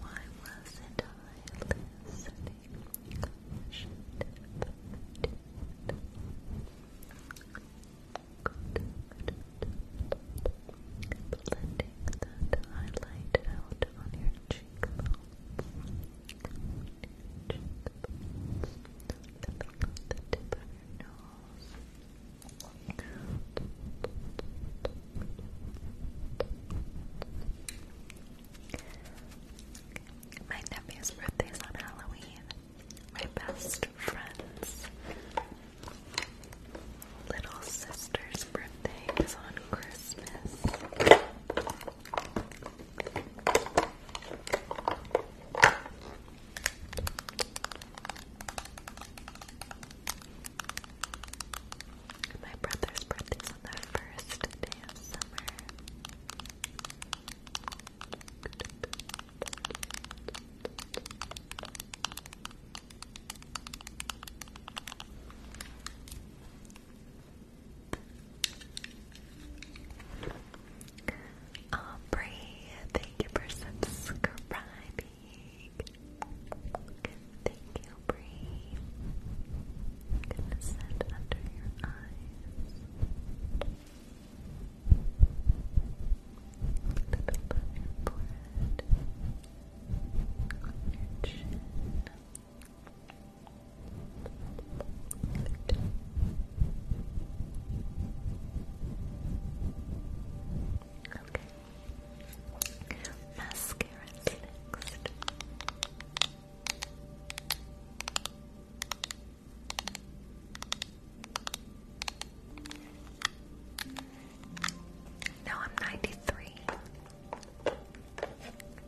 [SPEAKER 3] why wasn't I listening? Blending that highlight out on your cheekbones. My nephew's birthday is on Halloween. My best friend's
[SPEAKER 2] little sister's birthday is on Christmas. My brother's birthday's on the first day of summer. Aubrey, thank you for subscribing. Thank you, Aubrey. gonna set under your eyes. A little above your On your chin. Good.
[SPEAKER 3] Okay. next. No, I'm ninety three.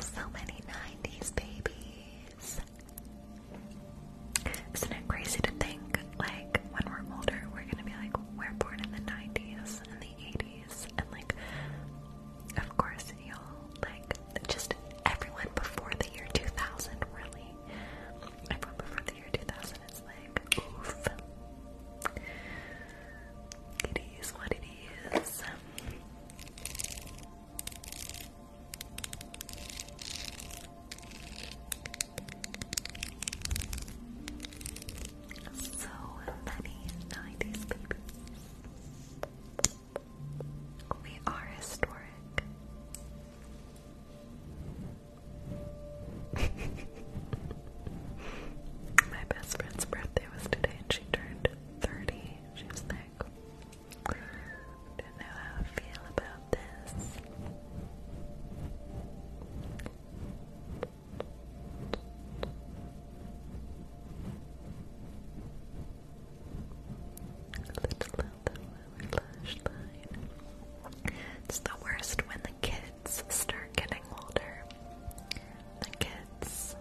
[SPEAKER 3] So many 90s babies. Isn't it crazy to think, like, when we're older, we're gonna be like, we're born in the 90s and the 80s, and like, of course, y'all, like, just everyone before the year 2000, really. Everyone before the year 2000 is like, oof. It is what it eyes. So many 90s babies. We are historic. My best friend's birthday was today, and she turned 30,
[SPEAKER 2] she like, don't know how I feel about this.
[SPEAKER 3] It's the worst when the kids start getting older. The kids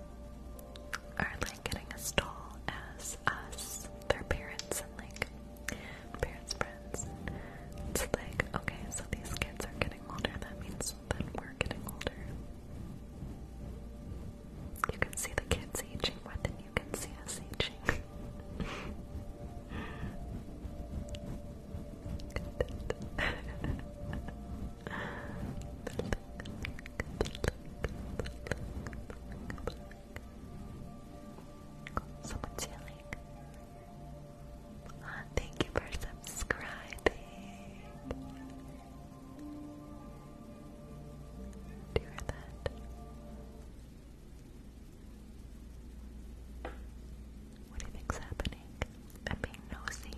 [SPEAKER 3] are like getting as tall as us, their parents and like parents' friends. It's like, okay, so these kids are getting older, that means that we're getting older. You can see the kids aging more than you can see us aging. Someone's ah, thank you for subscribing. Do you hear that? What do you think's happening? I'm being nosy.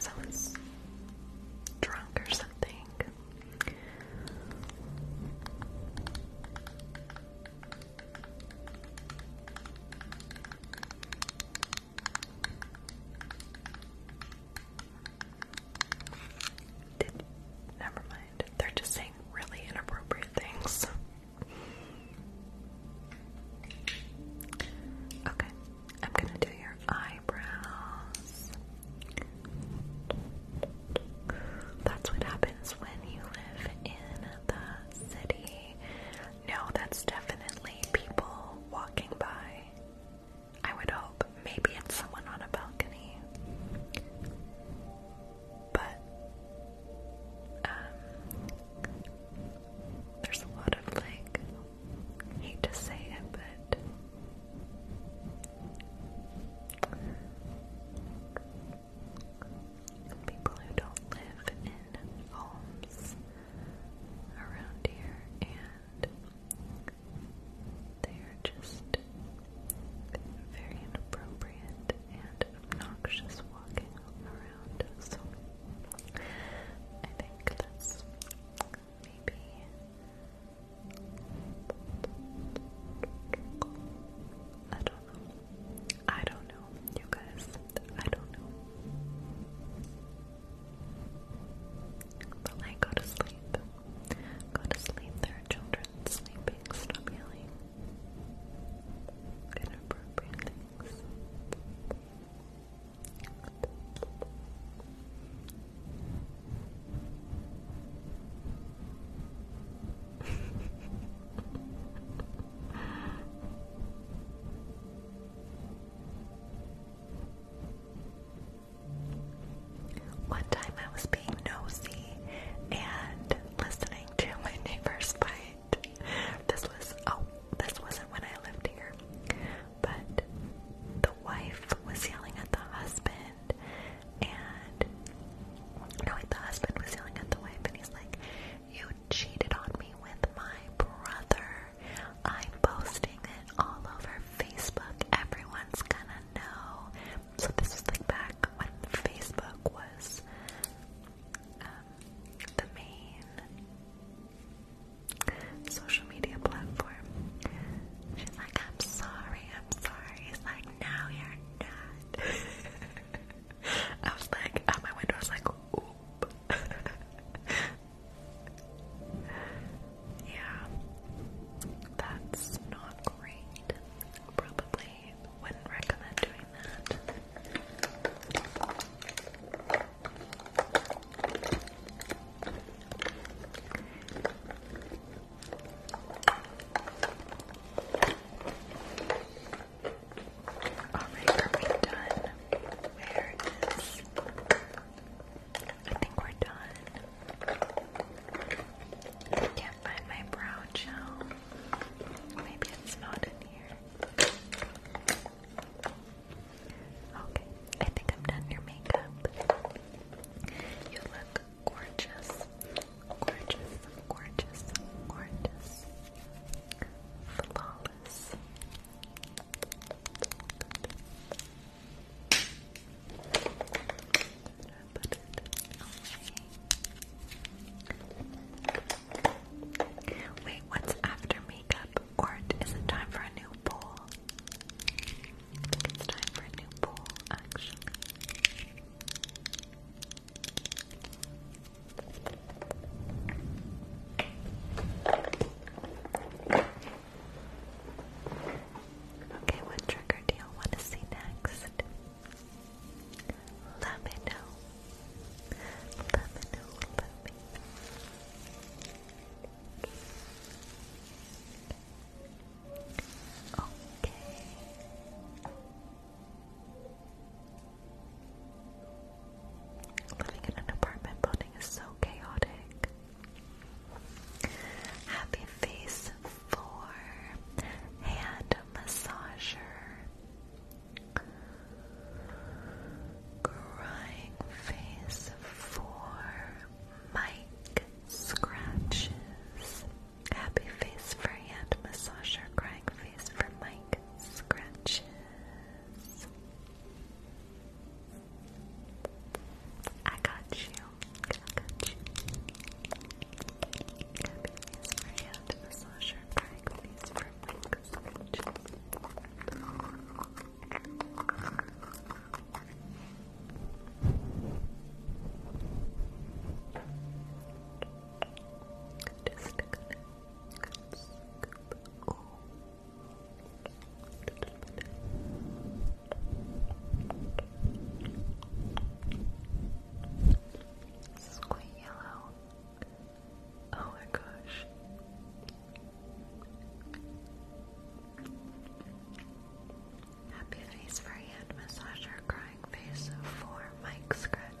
[SPEAKER 3] Someone's drunk or something. Did, never mind. They're just saying really inappropriate things. Okay, I'm gonna do your eyebrows. That's what happens when you live in the city. No, that's definitely people walking by. I would hope. Maybe it's someone on a balcony. But um there's a lot of like hate to say it but people who don't live in homes around here and they are just very inappropriate and obnoxious walking around. So I think that's maybe I don't know. I don't know, you guys. I don't know. But I go to sleep. Go to sleep. There children sleeping. Stop yelling inappropriate things. One time I was being nosy and listening to my neighbor's fight. This was oh, this wasn't when I lived here. But the wife was yelling at the husband and no, the husband was yelling at the wife and he's like, You cheated on me with my brother. I'm posting it all over Facebook. Everyone's gonna know. So this was like back when Facebook was um, the main social media platform. She's like, I'm sorry, I'm sorry. He's like, no, you're not. I was like, out my window, I was like, oop.
[SPEAKER 2] yeah, that's not great. Probably I would are done? Where is I think we're done. can't find my brow gel. Maybe it's not in here. Okay, I think I'm done your makeup. You look gorgeous. Gorgeous, gorgeous, gorgeous. Flawless.
[SPEAKER 3] Wait, what's after makeup? Or is it time for a new bowl? I think it's time for a new bowl, actually. Okay, what trigger do you want to see next? Let me know. Let me know. Let me know. Okay. Living in an apartment building is so chaotic. Happy Face 4 Hand Massager. Crying face for Mike scratches. Happy face for hand massager. Crying face for Mike scratches. I got you. Happy face for hand massager. Crying face for just gonna scoop all Square yellow Oh my gosh. Happy face for hand massage crying face for mic scratches.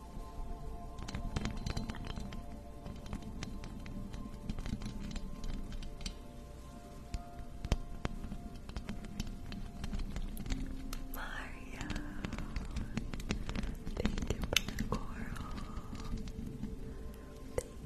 [SPEAKER 3] Mario, thank you for the coral. Thank you, thank you. Thank you,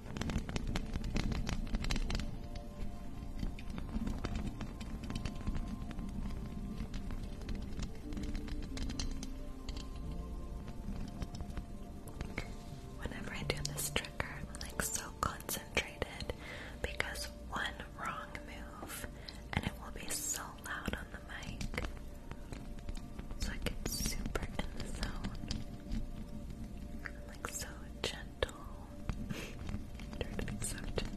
[SPEAKER 3] Whenever I do this trigger, I'm like so concentrated because one wrong move and it will be so loud on the mic. So I get super in the zone. I'm like so gentle. Try to be so gentle.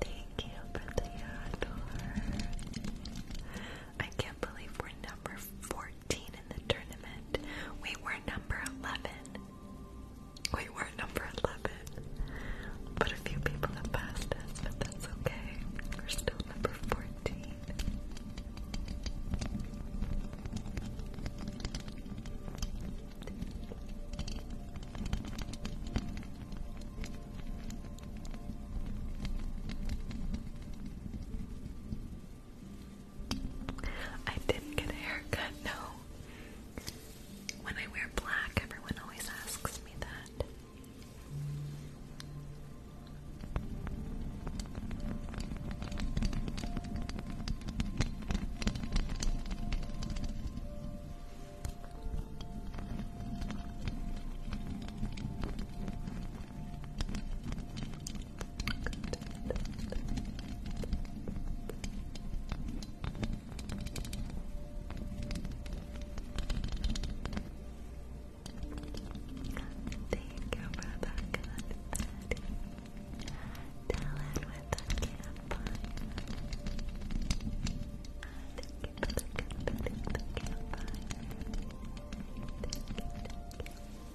[SPEAKER 3] Thank you for the adore. I can't believe we're number 14 14 in the tournament. We were number 11. We were number 11. But a few people have passed us, but that's okay. We're still number 14. I didn't get a haircut, no. When I wear black, everyone always asks me that. Thank you the confetti. Dylan with the campfire. Thank you for the confetti, the campfire. Thank you, thank you.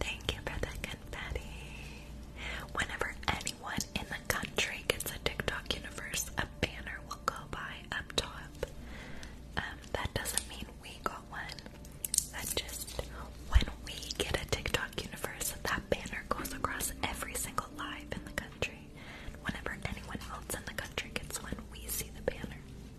[SPEAKER 3] Thank you for the confetti. Whenever anyone in the country gets a TikTok universe, a banner will go by up top. Um, that doesn't mean we got one. That just when we get a TikTok universe, that banner goes across every single live in the country. Whenever anyone else in the country gets one, we see the banner.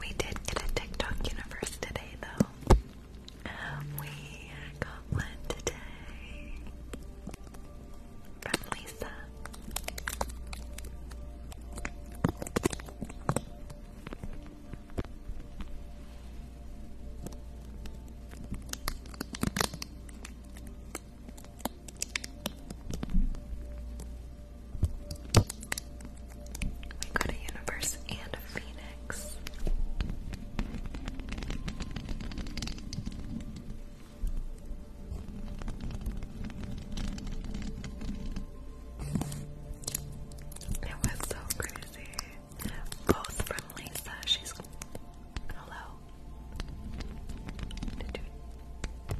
[SPEAKER 3] We did get a TikTok universe today, though. We got one today from Lisa. We got a universe and a phoenix. It was so crazy. Both from Lisa. She's Hello.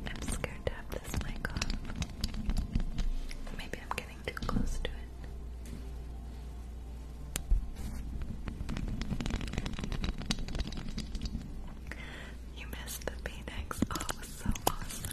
[SPEAKER 3] I'm scared to have this mic off. Maybe I'm getting too close to it. You missed the Phoenix. Oh, it was so awesome.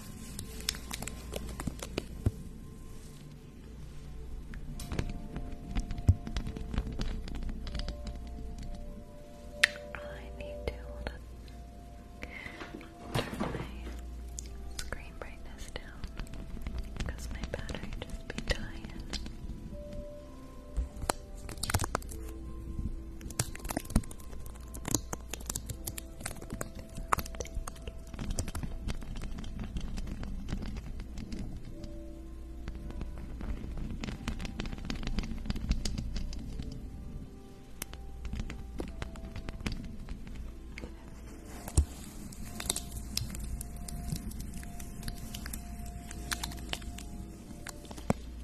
[SPEAKER 3] I need to Turn my screen brightness down because my battery just be dying.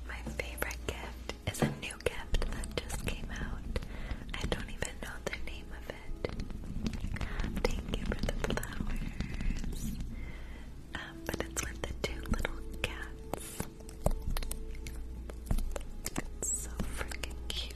[SPEAKER 3] My favorite gift is a new gift that just came out. I don't even know the name of it. Thank you for the flowers. Um, but it's with the two little cats. It's so freaking cute.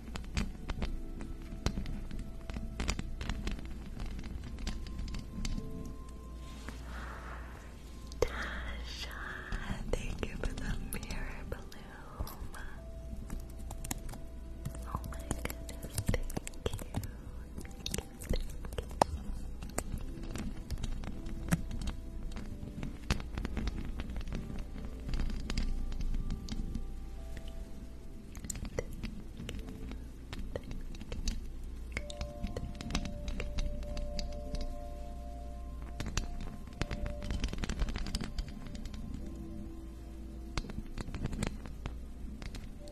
[SPEAKER 3] Tasha, thank you for the mirror bloom. Oh my goodness, Thank you, thank you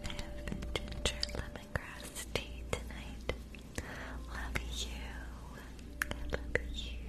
[SPEAKER 3] have ginger lemongrass tea tonight. Love you. love you.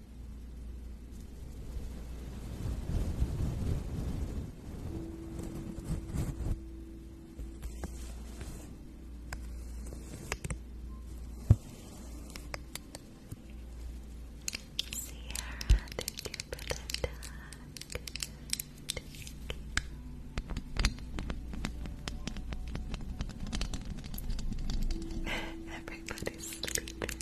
[SPEAKER 3] Sierra, thank you for the tag. Thank you. Everybody's sleeping.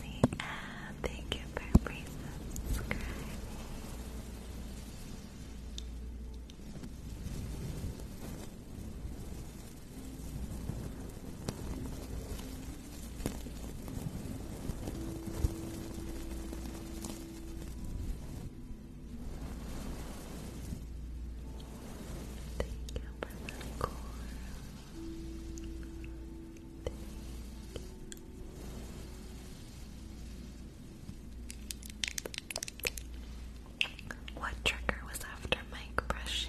[SPEAKER 3] See, thank you for subscribing Thank you What trigger was after mic brushing?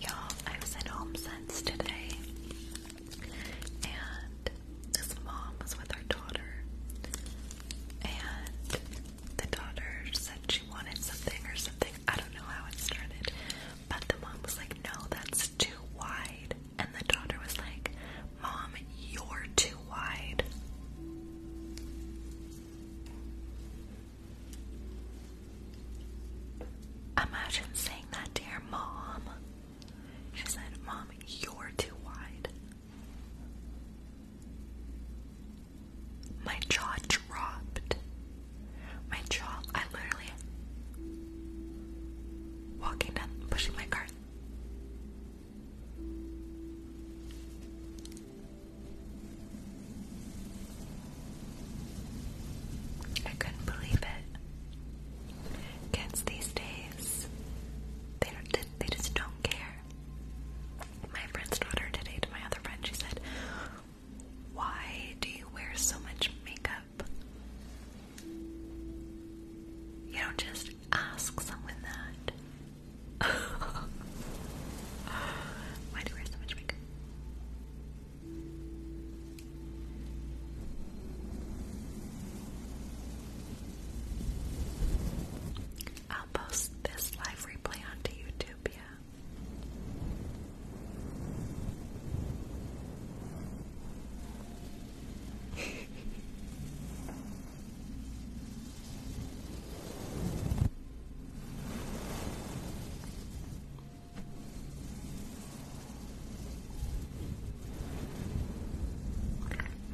[SPEAKER 3] Y'all, I was at Home Sense today, and this mom was with her daughter, and the daughter said she wanted something or something. I don't know how it started, but the mom was like, "No, that's too wide. And the daughter was like, Mom, you're too wide. Imagine saying that to your mom. She said, Mom, you're too wide. My jaw dropped. My jaw, I literally walking down, pushing my cart. I couldn't believe it. Kids these days, they just don't care. My friend's daughter today to my other friend, she said, "Why do you wear so much makeup?" You don't just ask someone that. Why do I wear so much makeup? I'll post this live replay onto YouTube, yeah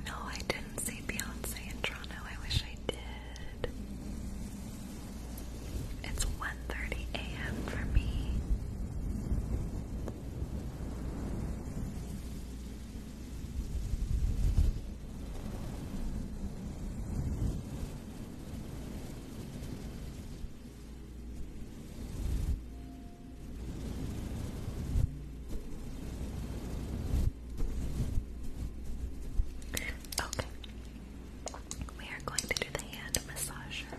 [SPEAKER 3] no, I didn't see Beyonce in Toronto. I wish I did. It's 1:30 a.m. for me.
[SPEAKER 2] Okay. We are going to do the hand massager.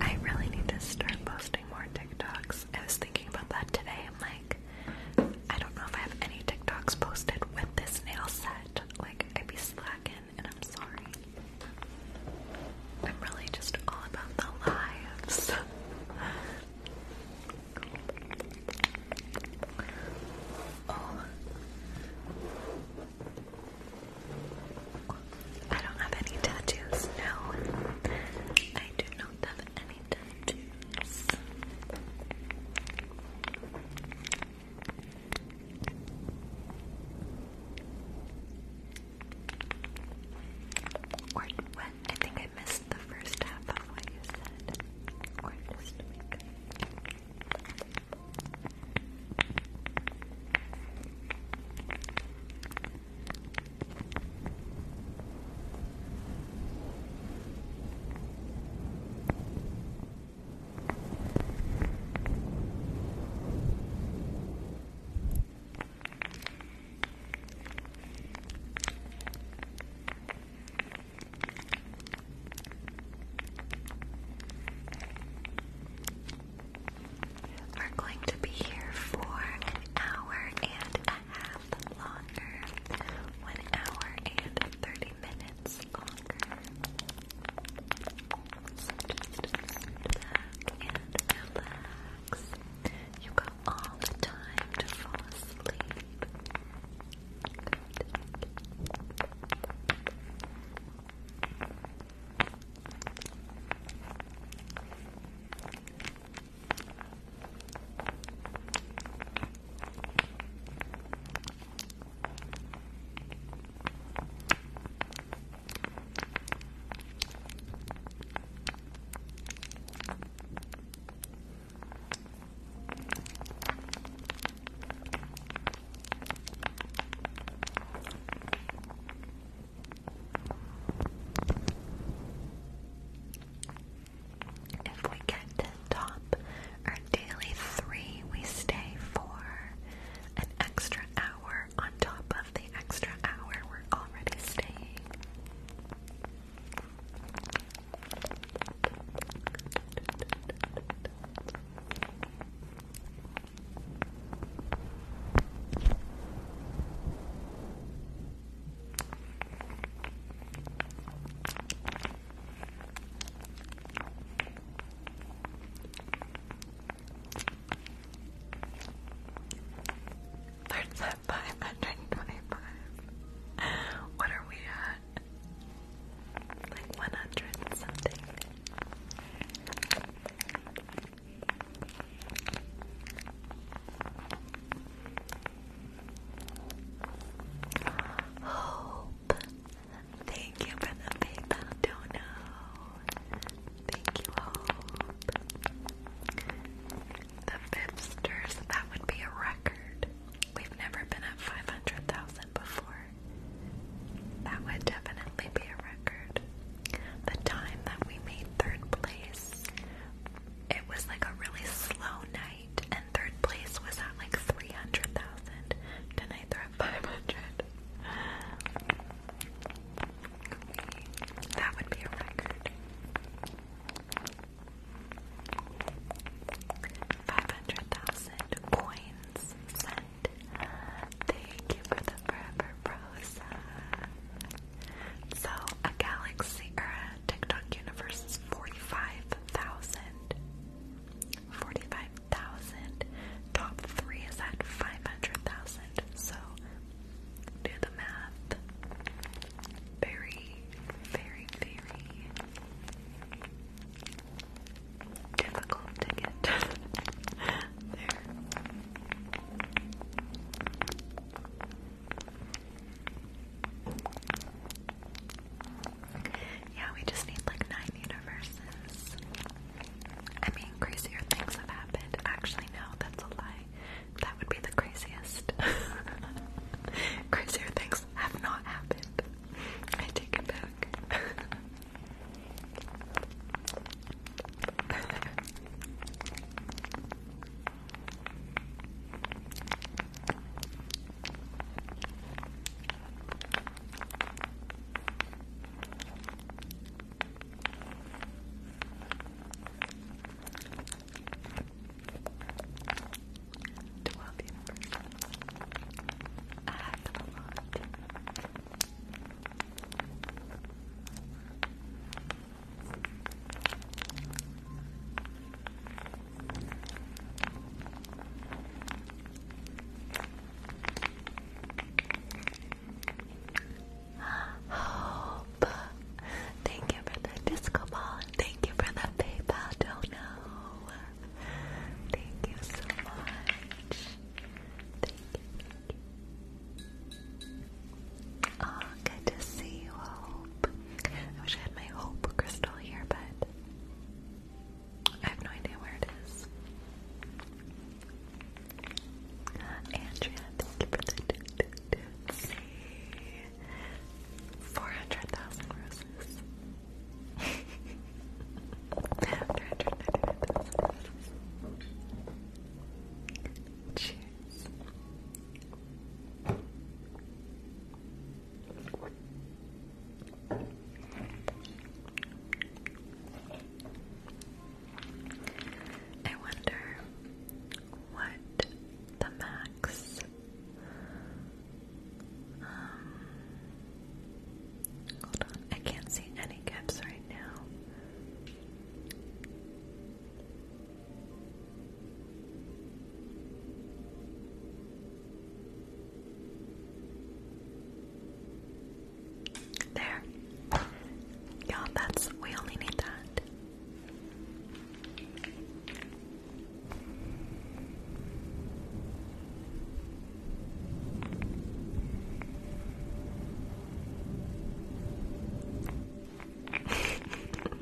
[SPEAKER 2] I really need to start posting more TikToks. I was thinking
[SPEAKER 3] about that today. I'm like, I don't know if I have any TikToks posted with this nail set. Like, I'd be slacking and I'm sorry. I'm really just all about the lives. oh. I don't have any tattoos, no. I do not have any tattoos. Or what? I think I missed the first half of what you said. We're going to be here for an hour and a half longer. One hour and 30 minutes just relax. You got all the time to fall asleep. If we get the top, daily three, we stay for an extra hour on top of the extra hour
[SPEAKER 2] we're already staying. There's that 525. What are we at? Like 100
[SPEAKER 3] something. Hope. Thank you for the PayPal dono. Thank you, Hope. The Fipsters, that would be a record. We've never been at 500,000 before. That would definitely be a record. The time that we made third place, it was like a really slow night, and third place was at like 300,000. Tonight five hundred. That would be a record. Five hundred thousand coins sent. Thank you for the forever rosa. So a galaxy or TikTok universe is forty-five thousand. 45,000. Top three is at 500,000. So do the math. Very, very, very difficult to get there. Yeah, we just need like nine universes. I mean, crazier things have happened. Actually, no, that's a lie. That would be the craziest. crazier things have not happened. I take it back. Twelve years. I had them a lot. Thank Hope. Thank you for the disco ball. Thank you for the PayPal dono. Thank you so much. Thank you. Oh, good to see you, Hope. I wish I had my Hope crystal here, but I have no idea where it is. Andrea, thank you for the let's see. 400,000 roses. 499,000 roses. Cheers. I wonder what the max um, hold on, I can't see any caps right now. There. you that's, we only need that.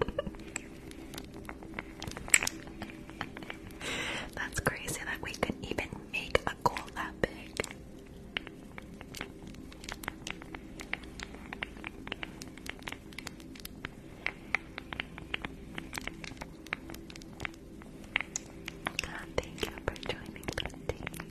[SPEAKER 3] That's crazy that we could even make a goal that big. Thank you for joining today.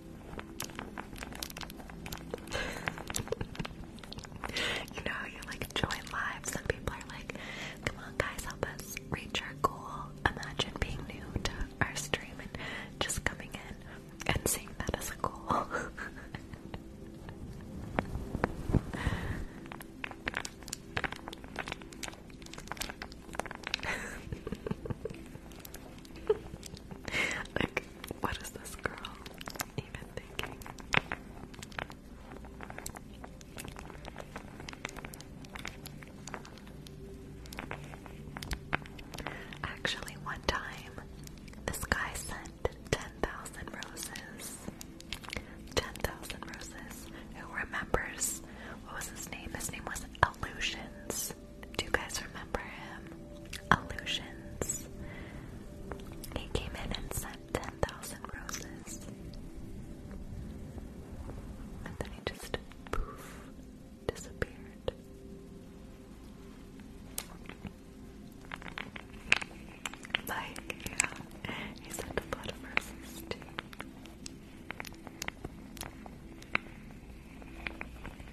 [SPEAKER 3] you know how you like join lives and people are like, come on guys, help us reach our goal. Imagine being new to our stream and just coming in and seeing that as a goal. like, what is this girl even thinking? Actually, one time, this guy sent 10,000 roses. 10,000 roses. Who remembers? What was his name? His name was Illusions. Do you guys remember him? Illusions. He came in and sent 10,000 roses. And then he just poof disappeared. Like, he sent a lot of roses too.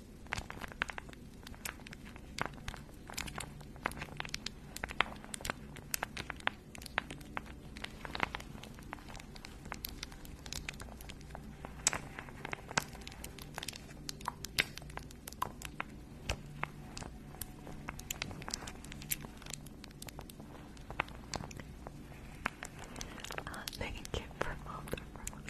[SPEAKER 3] Uh, thank you for all the roses.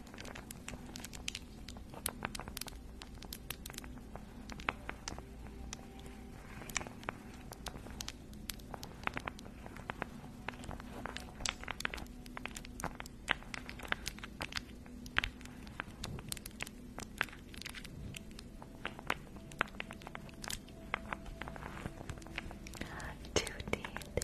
[SPEAKER 3] Tootie, thank you.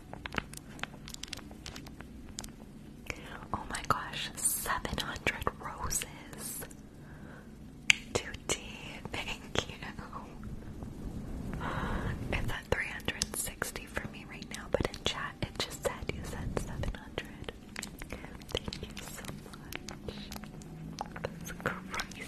[SPEAKER 3] Oh my gosh, 700 roses. Tutti, thank you. It's at 360 for me right now, but in chat it just said you said 700. Thank you so much. That's crazy.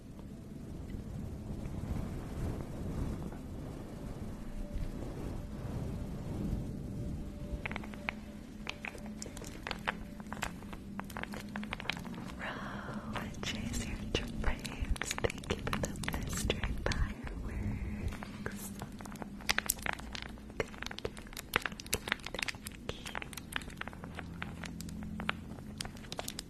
[SPEAKER 3] Row, chase your trains. Thank you the mystery fireworks. Thank you. Thank you.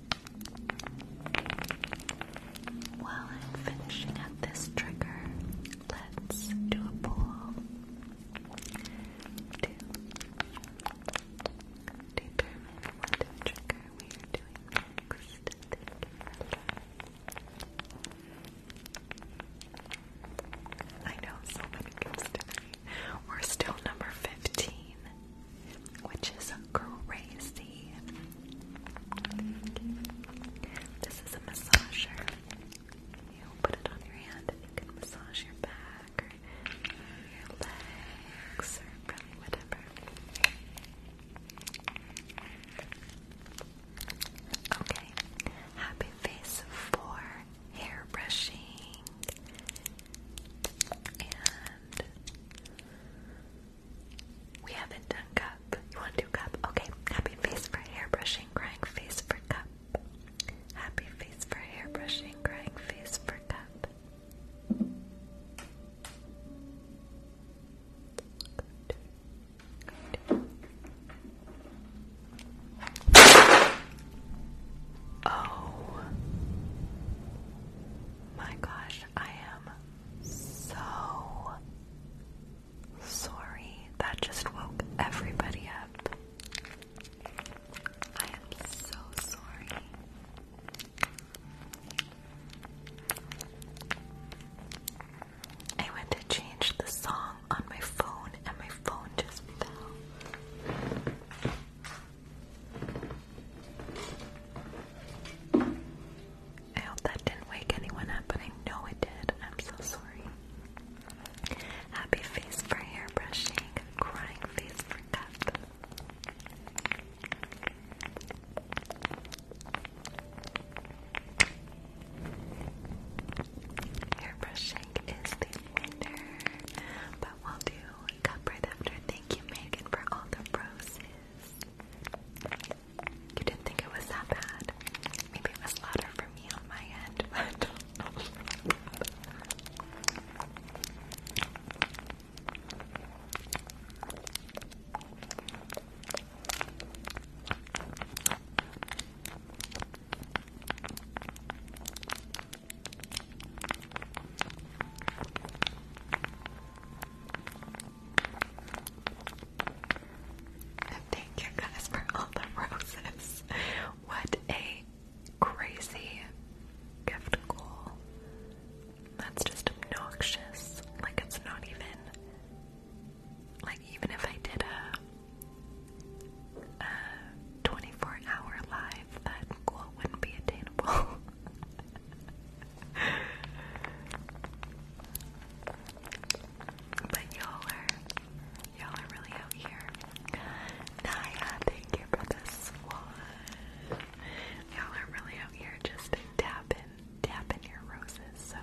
[SPEAKER 3] While I'm finishing up this trigger, let's do a poll to determine what trigger we are doing next. I know so many gifts today. We're still number 15 which is crazy. This is a massager. You put it on your hand and you can massage your back or your legs or whatever. Okay, happy face for hair brushing and we haven't done cup. You want to do cup? Okay. Happy face for hair brushing, crying face for cup. Happy face for hair brushing, crying face for cup. Oh my gosh, I am so sorry. That just woke everybody up. I am so sorry. I went to change the song on my phone and my phone just fell.
[SPEAKER 2] I hope that didn't wake anyone up, but I know it did. I'm so sorry. Happy face for hair brushing, crying face for cup. Hair brushing is the winner, but we'll do cup right after. Thank you, Megan, for all the roses. You didn't think it was that bad. Maybe it was louder for me on my end,
[SPEAKER 3] thank you guys for all the roses. What a crazy gift goal. That's just obnoxious. Like, it's not even. Like, even if I did a 24 hour live, that goal wouldn't be attainable. but y'all are y'all are really out here. Naya, thank you for the swan. Y'all are really out here just tapping, tapping your roses. So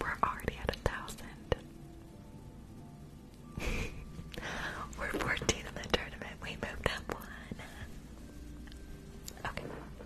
[SPEAKER 3] we're already at a thousand. We're 14 in the tournament. We moved up one. Okay.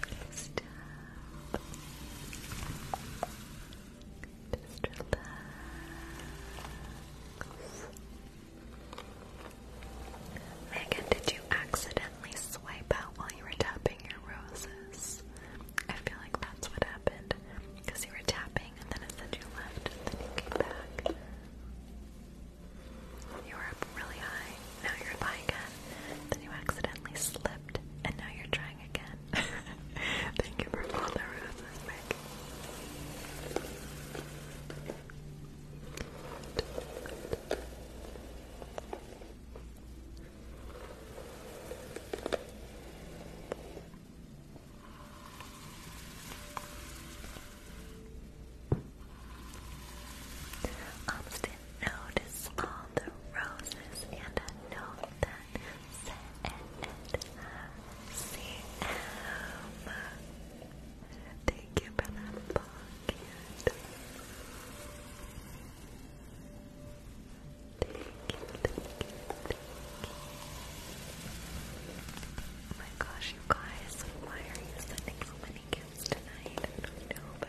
[SPEAKER 3] Good stuff. Megan, did you accidentally swipe out while you were tapping your roses?
[SPEAKER 2] I feel like that's what happened. Because you were tapping and then it said you left and then you came
[SPEAKER 3] back. You were up really high, now you're high again. Then you accidentally slipped, and now you're trying again. Thank you for all the roses, Austin noticed all the roses and a note that said, "See Thank you for that pocket. Thank you, thank you, thank you. my gosh, you guys, why are you sending so many gifts tonight? I don't know, but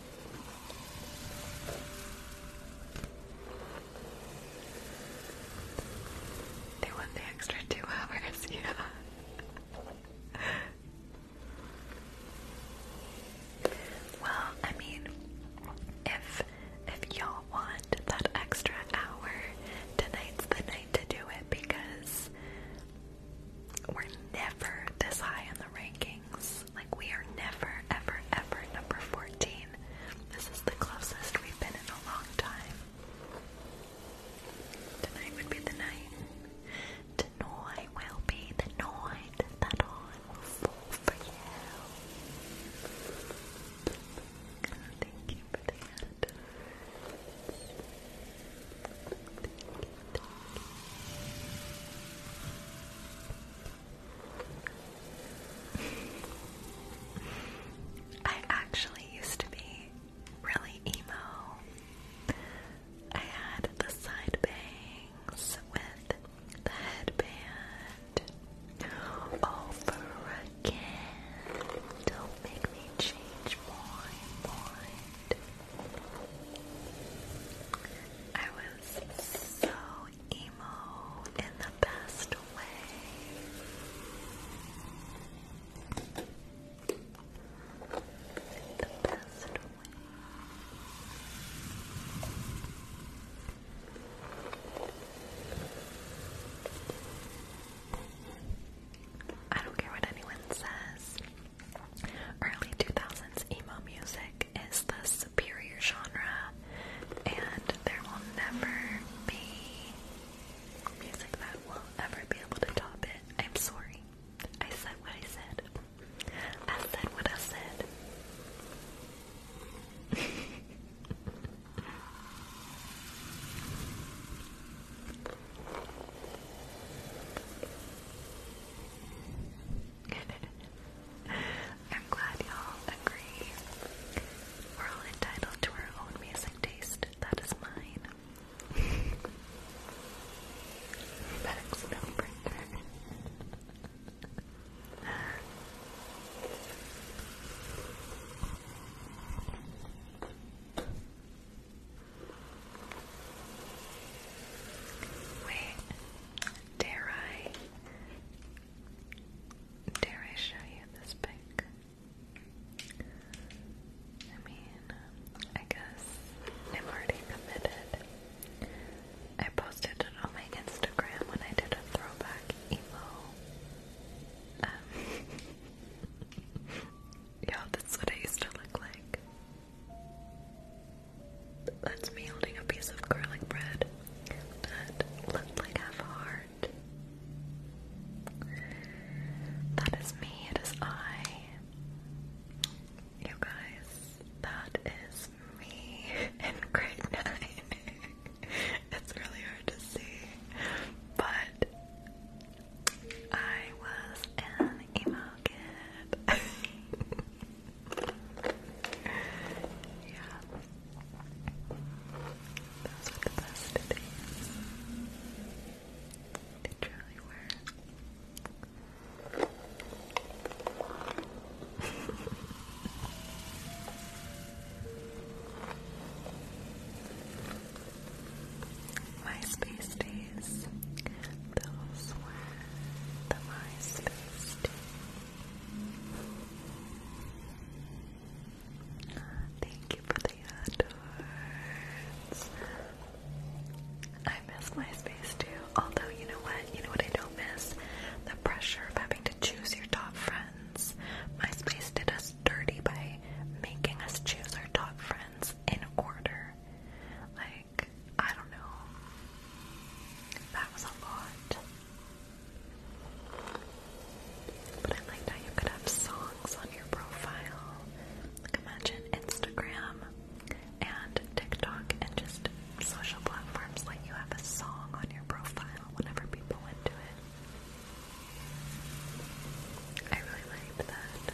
[SPEAKER 3] They want the extra two hours, yeah. well, I mean, if if y'all want that extra hour, tonight's the night to do it because we're never this high in the ranking. Like, we are never, ever, ever number 14. This is the closest we've been in a long time. Tonight would be the night. Tonight will be the night that I will fall for you. thank you for that. thank you. I actually used to be really emo. I had the side bangs with the headband. Over oh, again. Don't make me change mind. I was so emo in the best way. the best way. I don't care what anyone says. Early 2000s emo music is the superior genre, and there will never be music that will ever be able to top it. I'm sorry. I said what I said. I said what I said. I'm glad y'all agree. We're all entitled to our own music taste. That is mine. That's number Wait, dare I Dare I show you this pic? I mean, I guess I'm already committed. I posted it on my Instagram when I did a throwback emo. Um, yeah, that's what I used to look like. That's me holding a piece of garlic bread that looks like half a heart. That is me, it is I. You guys, that is me in grade 9. it's really hard to see, but I was an emo yeah. Those are the best days. They truly
[SPEAKER 2] were. MySpace days. Those were the MySpace days.
[SPEAKER 3] Thank you for the adorns. I miss MySpace too. Although, you know what? You know what I don't miss? The pressure of having to choose your top friends. MySpace did us dirty by making us choose our top friends in order. Like, I don't know. That was a lot. But I
[SPEAKER 2] liked how you could have songs on your profile. imagine Instagram and TikTok and just social platforms like you have a song on your profile whenever people went it. I really liked that.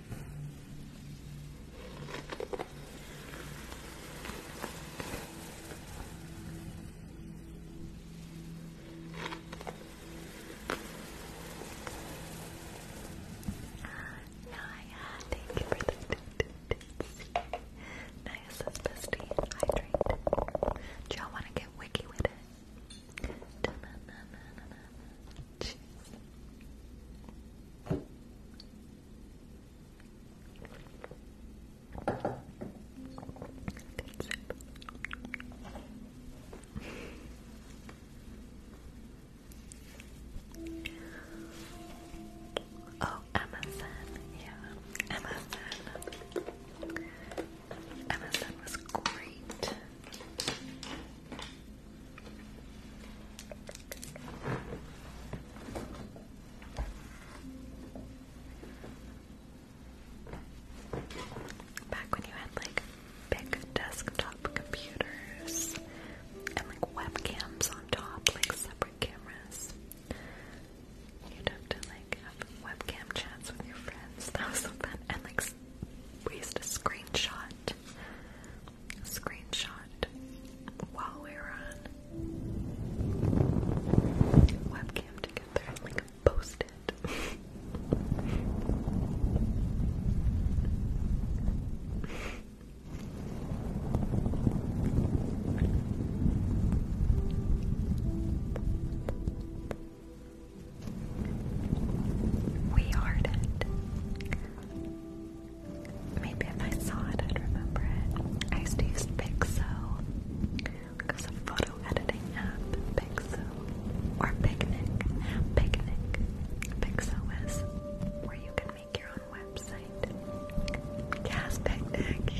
[SPEAKER 3] Naya, thank you for the tits. Naya bestie, hydrate. y'all wanna get wiki with it? Oh, Amazon, yeah, Amazon. Amazon was great. Back when you had like big desktop computers and like webcams on top, like separate cameras, you'd have to like webcam chats with your friends. That was so fun. And like we used to screenshot screenshot while we are on webcam together like post We heart it. Maybe if I saw it, I'd remember it. I used to use Pixo, like it's a photo editing app, Pixo, or Picnic. Picnic. Pixo is where you can make your own website. Yes, Picnic,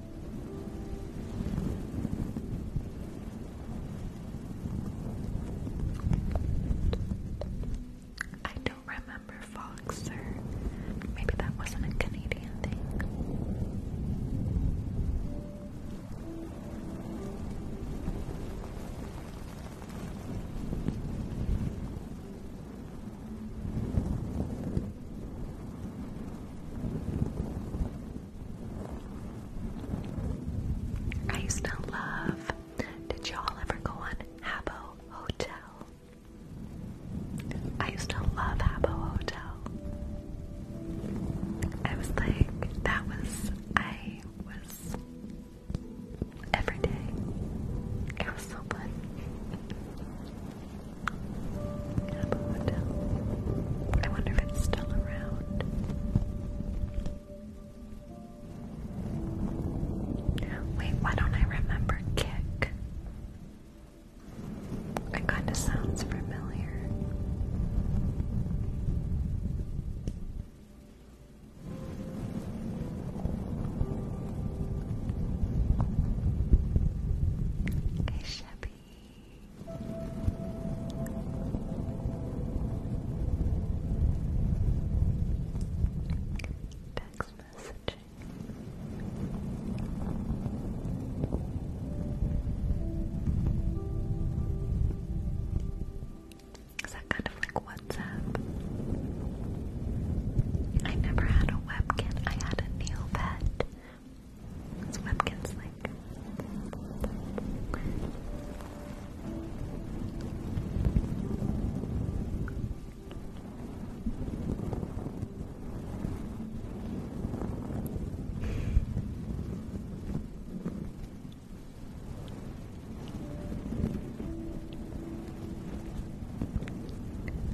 [SPEAKER 3] I don't remember Foxer. Maybe that wasn't a Canadian thing. I used to love. Did y'all ever go on Habbo Hotel? I used to love Habbo Hotel. I was like, that was, I was every day. It was so fun.
[SPEAKER 2] I wonder if it's still around.
[SPEAKER 3] Wait, why don't I remember Kick? It kinda sounds familiar. Hey, Chevy. Text messaging. Is that kind of like WhatsApp? I never had a webcam. I had a Neopet.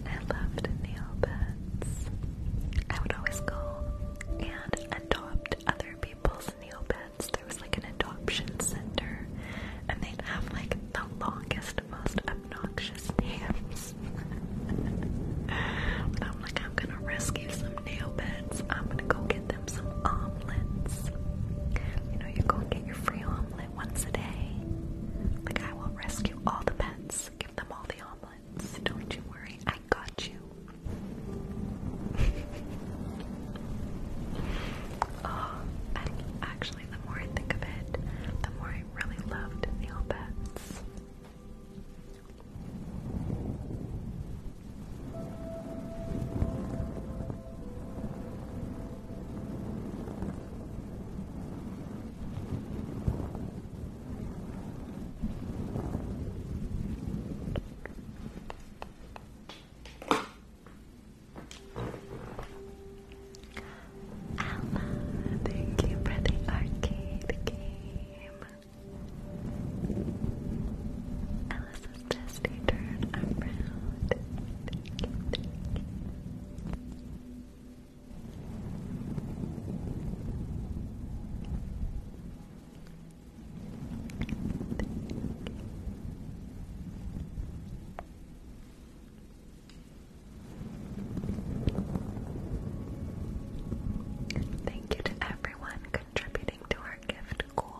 [SPEAKER 3] I loved nail beds. I would always go and adopt other people's Neopets. There was like an adoption center, and they'd have like the longest, most obnoxious names. I'm like, I'm gonna rescue some nail beds. I'm gonna go get them some omelets. You know, you go and get your free omelet once a day. The guy will rescue all the pets, give them all the omelets. Don't you worry, I got you. oh, actually, the more I think of it, the more I really loved Neil Betts. Alma, thank you for the arcade game. Alice's just turned around. thank you. Thank you to everyone contributing to our gift goal.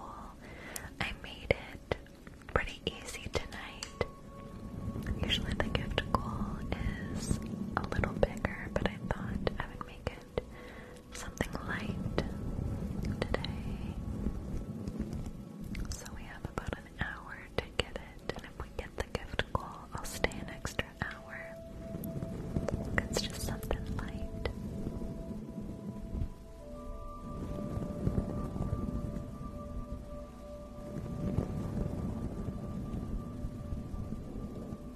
[SPEAKER 3] I made it pretty easy tonight. Usually the gift goal is a little bigger, but I thought I would make it something light today. So we have about an hour to get it, and if we get the gift goal, I'll stay an extra hour. It's just something light.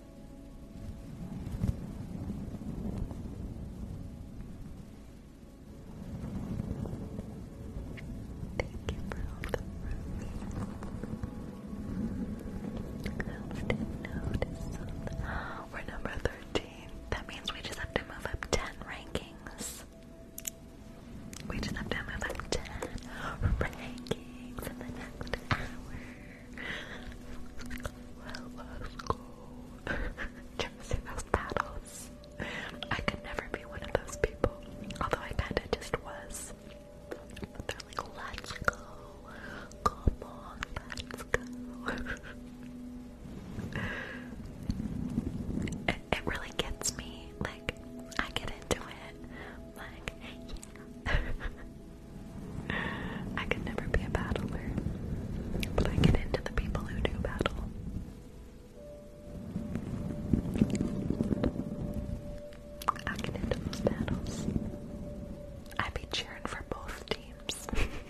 [SPEAKER 3] Thank you for all the We're number 13. That means we just have to move up 10 rankings. We just have to move up 10 rankings in the next hour let's go. Trying to those paddles. I could never be one of those people. Although I kinda just was.
[SPEAKER 2] they're like, let's go. Come on, let's go. it, really gets me. Like, I get into it. Like,
[SPEAKER 3] I could never be a battler, but I get into the people who do battle. I get into those battles. I'd be cheering for both teams.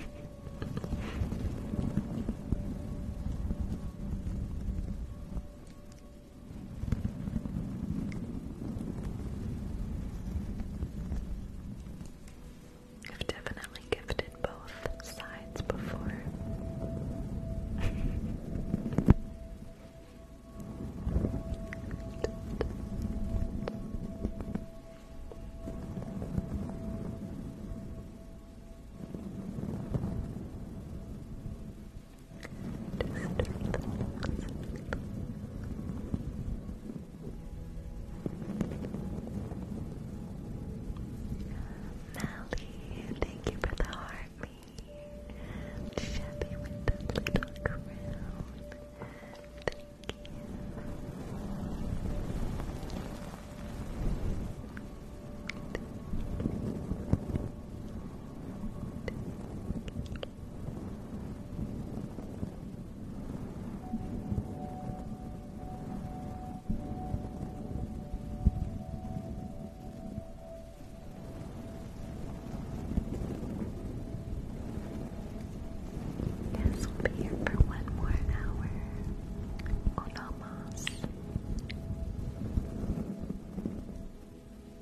[SPEAKER 3] I've definitely gifted both sides before. Mally, thank you for the heartly. Chevy with the little crown. Thank you. Yes, we'll be here for one more hour. Unamos.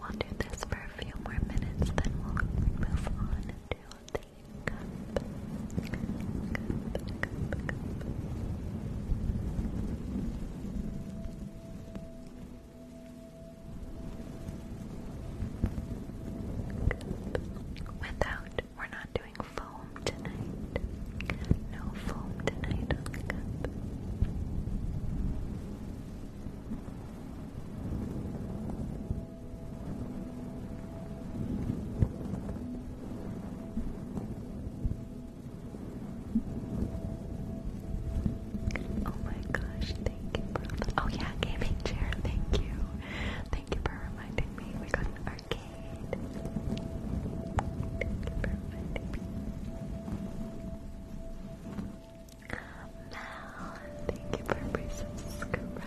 [SPEAKER 3] We'll do this for a few more minutes, then we'll move on to cup, cup, Without, we're not doing foam tonight. No foam tonight Oh my gosh, thank you for the Oh yeah, gaming chair, thank you. Thank you for reminding me we got an arcade. Thank you thank you for resubscribing.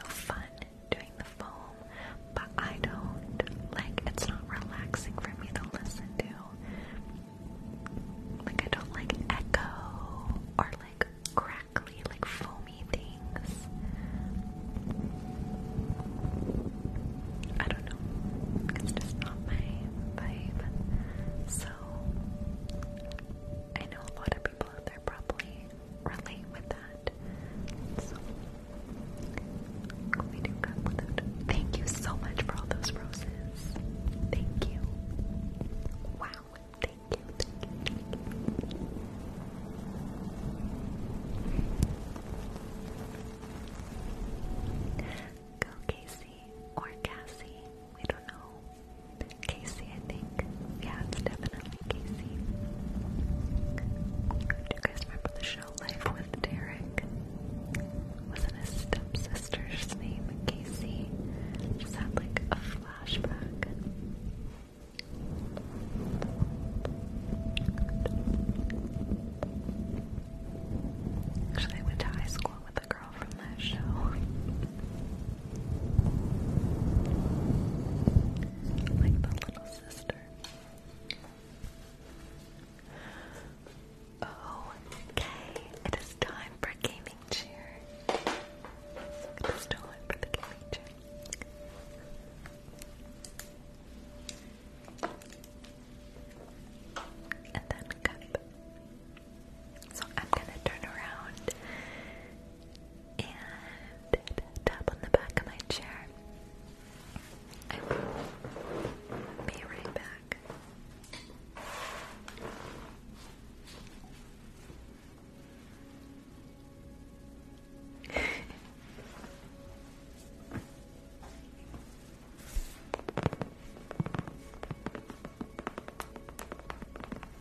[SPEAKER 3] so fun doing the foam, but I don't like it's not relaxing for me to listen to. Like I don't like echo or like crackly, like foamy things. I don't know. It's just not my vibe. So I know a lot of people out there probably relate with that. So, we do come with it. Thank you so much for all those roses. Thank you. Wow. Thank you. Thank you. Go Casey or Cassie. We don't know. Casey, I think. Yeah, it's definitely Casey. Do you guys remember the show Life with Derek? Wasn't his stepsister's name Casey? Just had like a flashback. Actually, went to high school with a girl from that show. Like the little sister. Oh, okay. It is time for gaming chair. It is time for the gaming chair. And then cup. So I'm gonna turn around and tap on the back of my chair. I will be right back.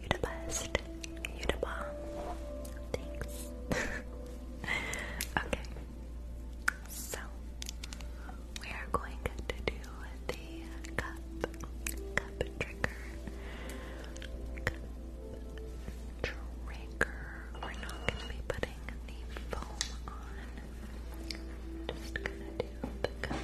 [SPEAKER 3] You're the best. You the bomb. okay. So we are going to do the cup cup trigger. trigger. We're not gonna be putting the foam on. Just gonna do to the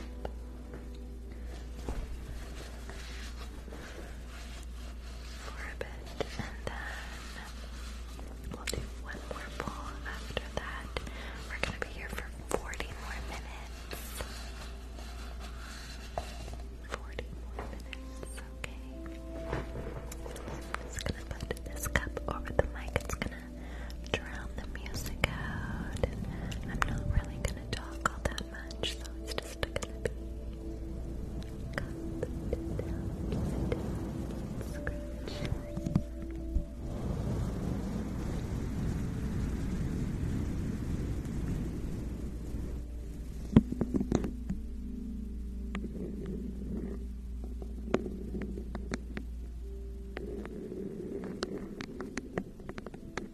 [SPEAKER 3] For a bit, and then we'll do one more pull. After that, we're gonna be here for 40 more minutes. 40 more minutes, okay. I'm just gonna put this cup over the mic drown the music out. I'm not really gonna talk all that much, so it's just gonna be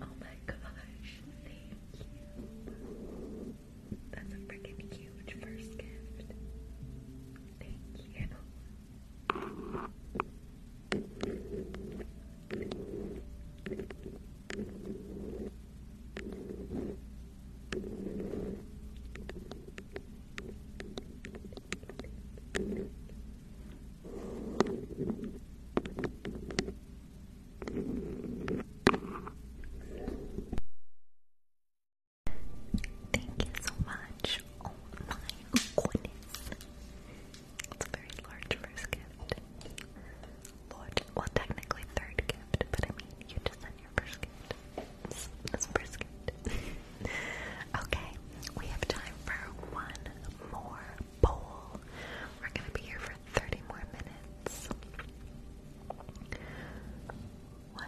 [SPEAKER 3] Oh my gosh, thank you. That's a freaking huge first gift. Thank you. Thank you so much. Oh my It's very large first gift. well technically third gift, but I mean you just your brisket. That's brisket. okay, we have time for one more bowl. We're gonna be here for 30 more minutes. What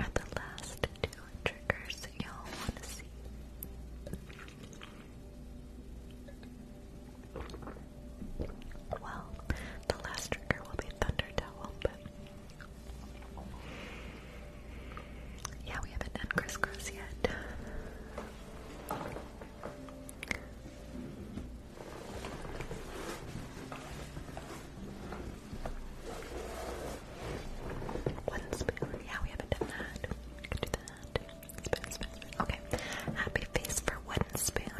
[SPEAKER 3] are the last two triggers y'all wanna see? Well, the last trigger will be Thunder Towel, but yeah, we haven't done crisscross yet. One spoon. Yeah, we haven't done that. Okay. Happy face for one spoon.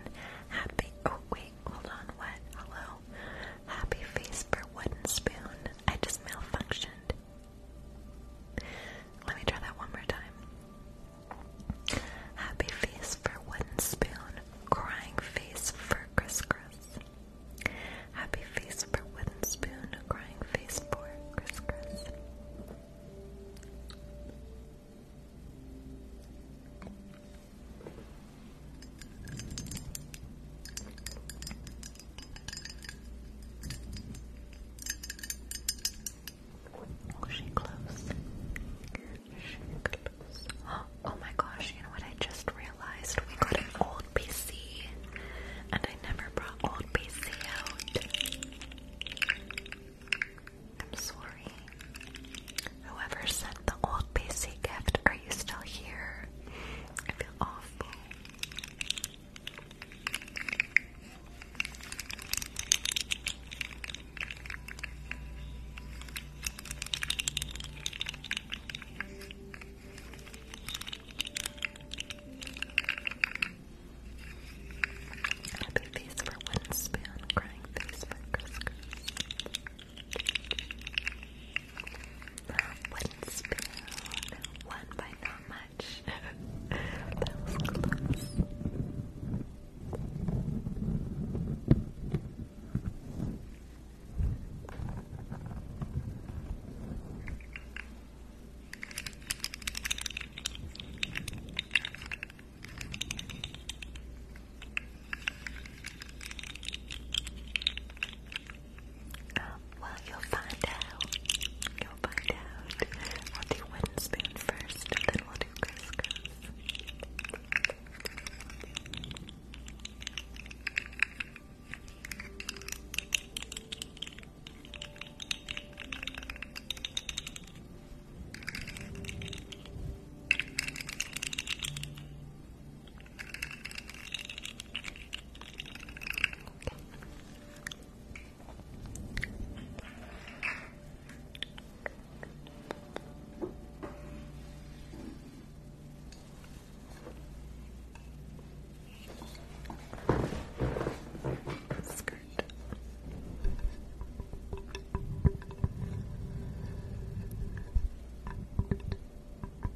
[SPEAKER 3] Happy. Oh wait hold on, what? Hello? Happy face for wooden spoon. I just malfunctioned. Let me try that one more time. Happy face for wooden spoon. Crying face for Chris Happy face for wooden spoon. Crying face for Chris Oh, she close. She close. Oh my gosh, you know what I just realized? We got an old PC and I never brought old PC out. I'm sorry. Whoever sent the old PC gift, you still here? I feel awful. Happy face for wingspan, crying face for Chris. One spoon. One by not much. that was close. Um, well, you'll find out. You'll find out. I'll do wind spoon first, and then we'll do crisscross. Skirt.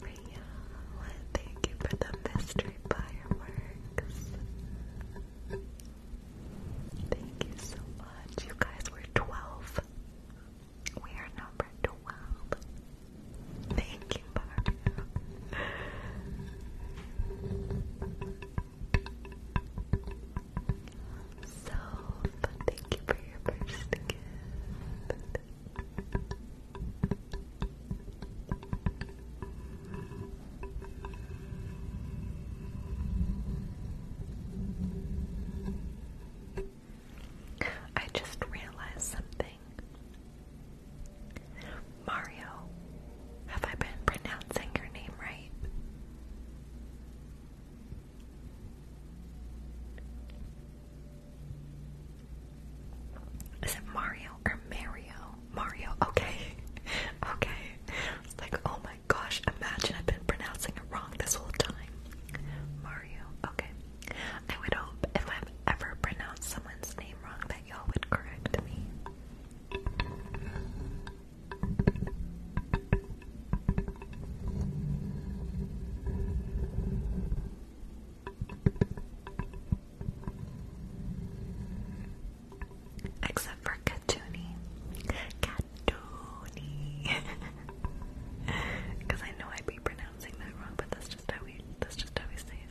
[SPEAKER 3] Maria, thank you for the mystery fireworks. Thank you so much. You guys were 12. We are number 12. Thank you, Mario. So, thank you for your first gift. I just realized something. Mario, have I been pronouncing your name right? Is it Mario or Mario? Mario, okay. okay. like, oh my gosh, imagine I've been pronouncing it wrong this whole time. Mario, okay. I would hope if I've ever pronounced someone's name wrong that y'all would correct me. Except for Katuni. Katuni. Because I know I'd be pronouncing that wrong, but that's just how we that's just how we say it.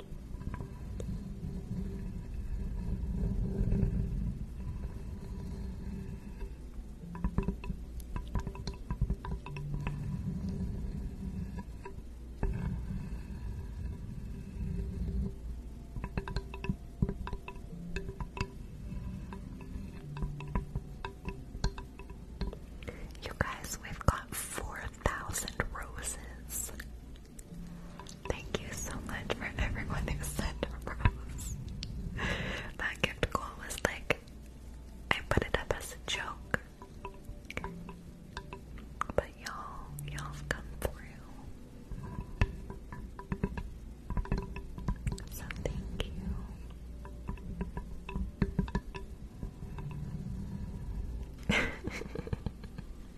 [SPEAKER 3] You guys, we've got 4,000 roses. Thank you so much for everyone that sent rose. That gift goal was like I put it up as a joke. But y'all, y'all have come through. So thank you.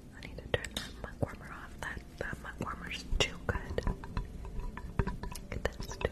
[SPEAKER 3] I need to turn that mug warmer off. That that mug warmer's too good. That's too good.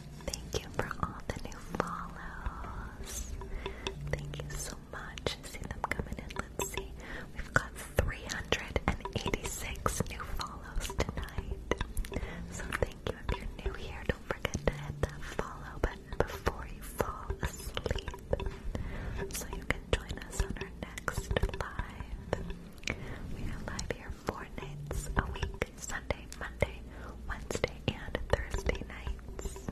[SPEAKER 3] Thank you for all the new follows. Thank you so much. See them coming in. Let's see. We've got 386 new follows tonight. So thank you. If you're new here, don't forget to hit that follow button before you fall asleep. So you can join us on our next live. We are live here four nights a week, Monday, Wednesday, and Thursday nights.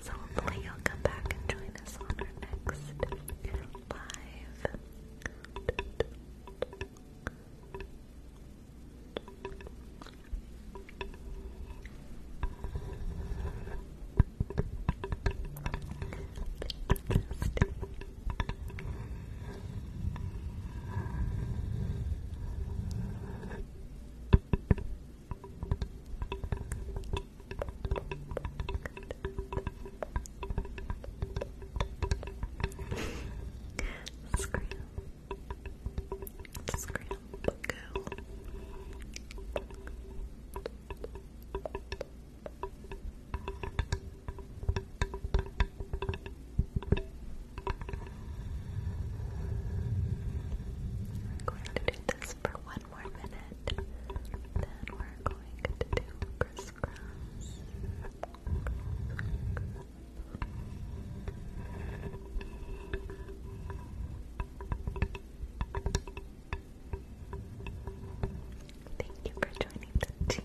[SPEAKER 3] So hopefully you'll come back and join us on our next live. Scram. Scram. Go. Scram going to do this for one more minute. Then we're going to do crisscross. Thank you for joining the team.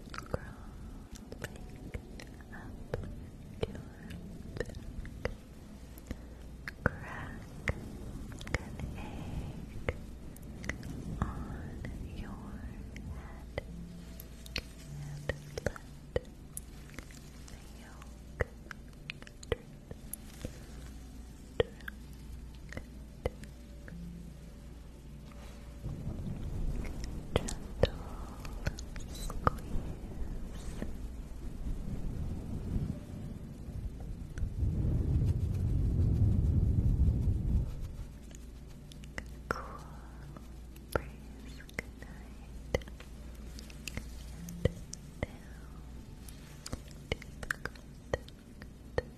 [SPEAKER 3] crawled back Crack an egg on your head and let the yolk drip, drip, Gentle squeeze. Cool breeze. Good night. deep, good,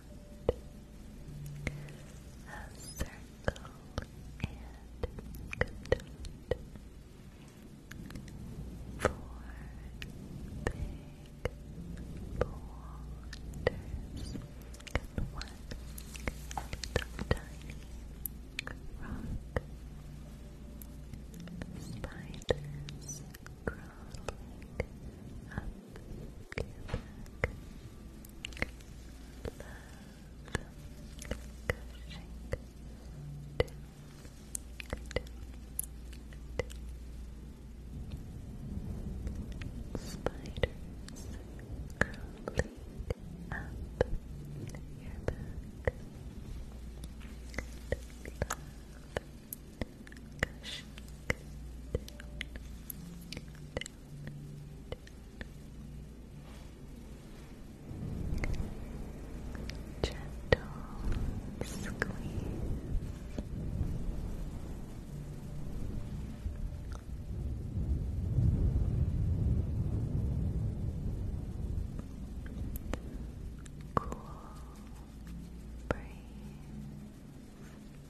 [SPEAKER 3] around a circle and Four big boulders and one tiny rock. Spiders crawling up your back. Spiders crawling up your back. Love gushing down, down, Gentle squeeze. Cool breeze.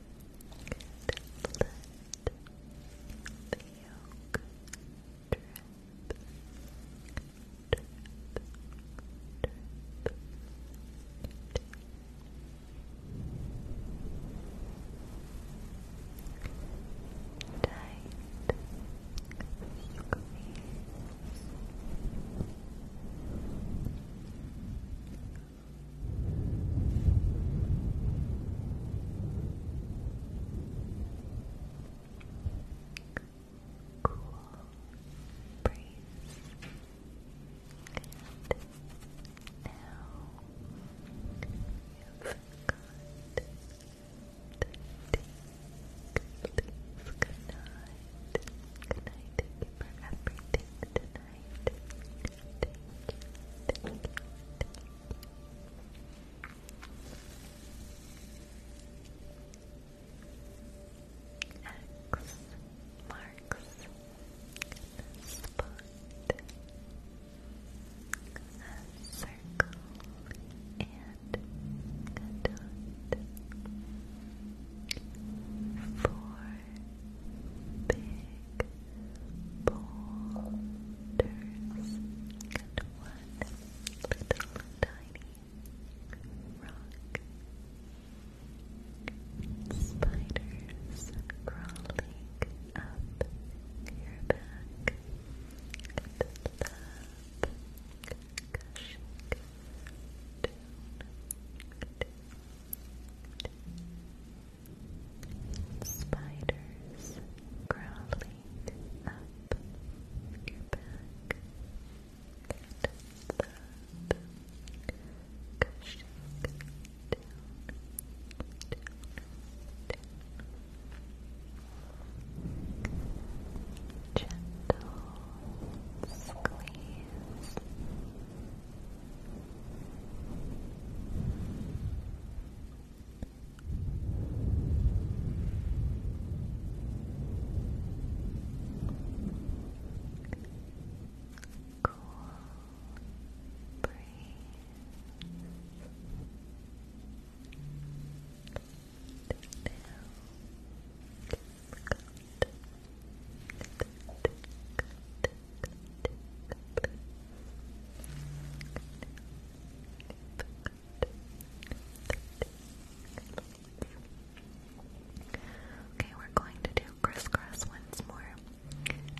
[SPEAKER 3] let the yolk drip, drip, drip. Tight squeeze. Cool breeze. And now you've got the deep, good night. Good night. Thank you Thank you, X marks the spot. A circle and a dot. Four big boulders and one little tiny rock. Spiders crawling up your back and love gushing Spiders crawling up your back. Get that Gentle squeeze. Cool breeze. Good, good, Okay, we're going
[SPEAKER 2] to do crisscross once more.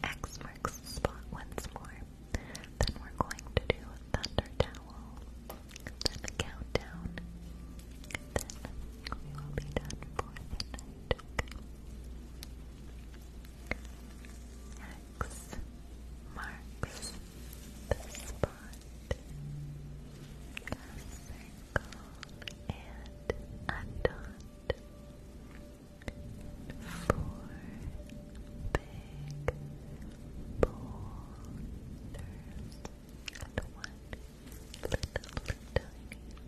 [SPEAKER 2] X marks the spot once more. Then we're going to do thunder towel. Then a countdown. Then we will be done for the night. X marks the spot. A circle and a dot. Four big boulders and one little tiny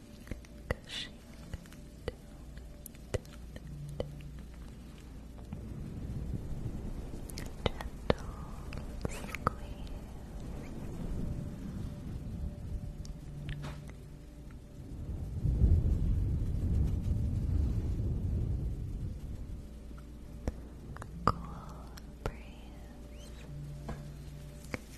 [SPEAKER 2] gushing down, Gentle squeeze. Cool breeze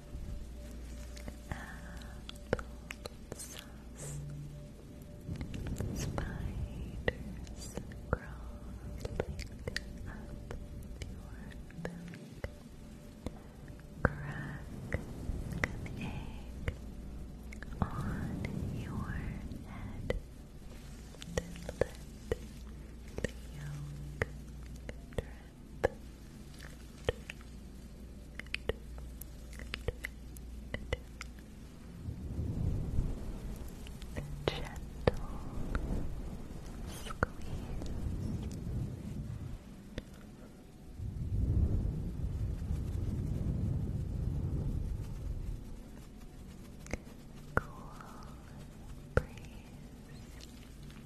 [SPEAKER 2] applesauce. Spiders crawling up your back. Crack an egg on your head. Then the yolk Cool breeze.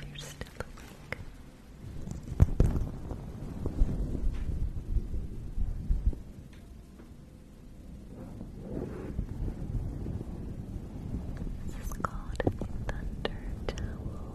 [SPEAKER 2] you're still awake. This is called thunder towel.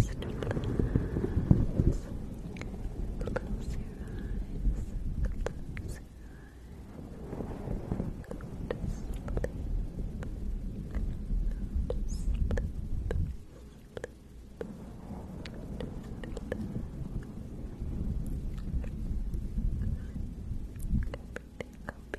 [SPEAKER 2] Just relax. Close your eyes. Close your eyes. Go to sleep. Everything will be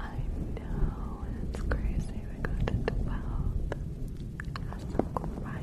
[SPEAKER 2] I know, it's crazy. We got to 12. That's so cool, right?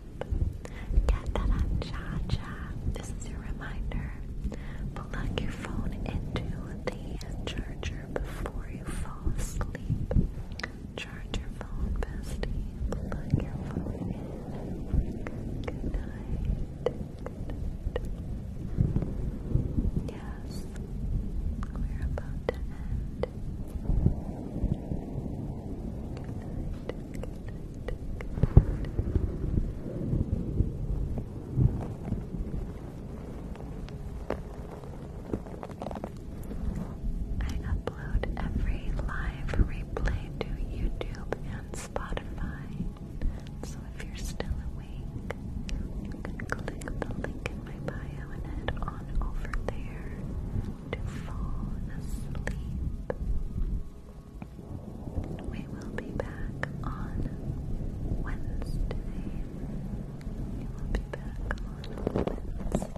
[SPEAKER 2] Get that on This is your reminder. Plug your phone into the charger before you fall asleep. Charge your phone, bestie. Plug your phone in. Good night. Yes, we're about to end. I upload every live replay to YouTube and Spotify. So if you're still awake, you can click the link in my bio and head on over there to fall asleep. We will be back on Wednesday. We will be back on Wednesday.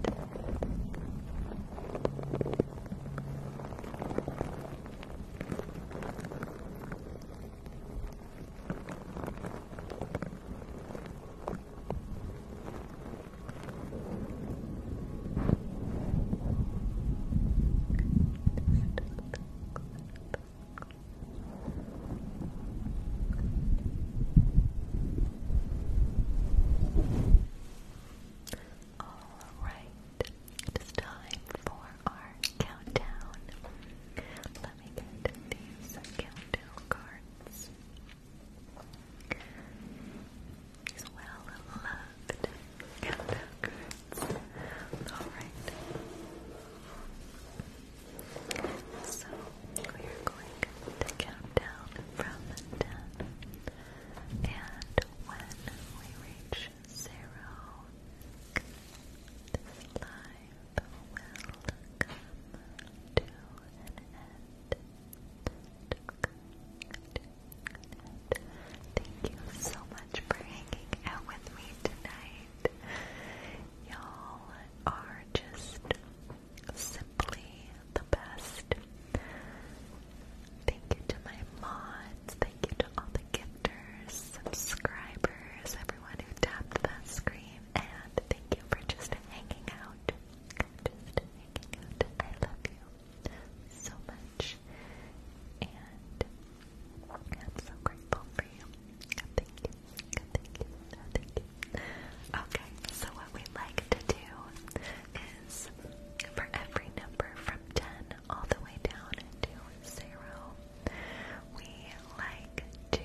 [SPEAKER 3] Alright, it is time for our countdown. Let me get these countdown cards. These well left and Alright. So we are going to count down from ten. And when we reach zero, this live will come to an end. Thank you so much for hanging out with me tonight. Y'all are just simply the best. Thank you to my mods. Thank you to all the gifters, subscribers, everyone who tapped that screen, and thank you for just hanging out. Just hanging out. I love you so much, and I'm so grateful for you. thank you. thank you. thank you. Okay, so what we like to do is for every number from 10 all the way down to 0, we like to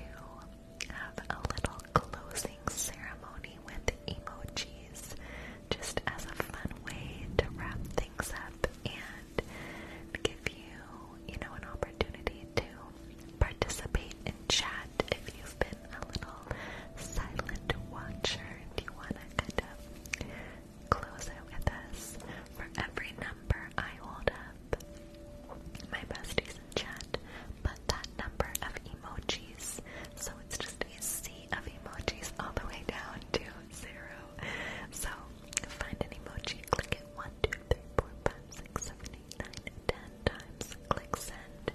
[SPEAKER 3] have a little closing ceremony with emojis just as a fun way to wrap things up and give you, you know, an opportunity to participate in chat if you've been a little silent watcher and you want to kind of close it with us. For every number I hold up, my besties chat put that number of emojis, so it's just a sea of emojis all the way down to zero. So Find an emoji, click it 1, 2, 3, 4, 5, 6, 7, 8, 9, 10 times, click send,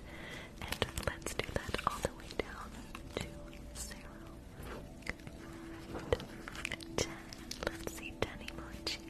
[SPEAKER 3] and let's do that all the way down to 0. 10, let's see 10 emojis.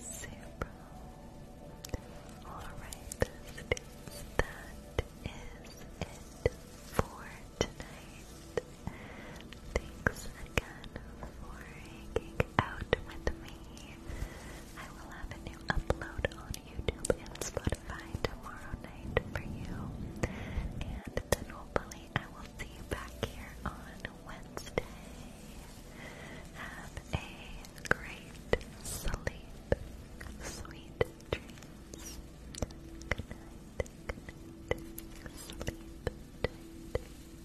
[SPEAKER 1] Super. Alright, students, that is it for tonight. Thanks again for hanging out with me. I will have a new upload on YouTube and Spotify tomorrow night for you. And hopefully I will see you back here on Wednesday. Have a great sleep. Sweet dreams. Good night. Good night. Sleep tight.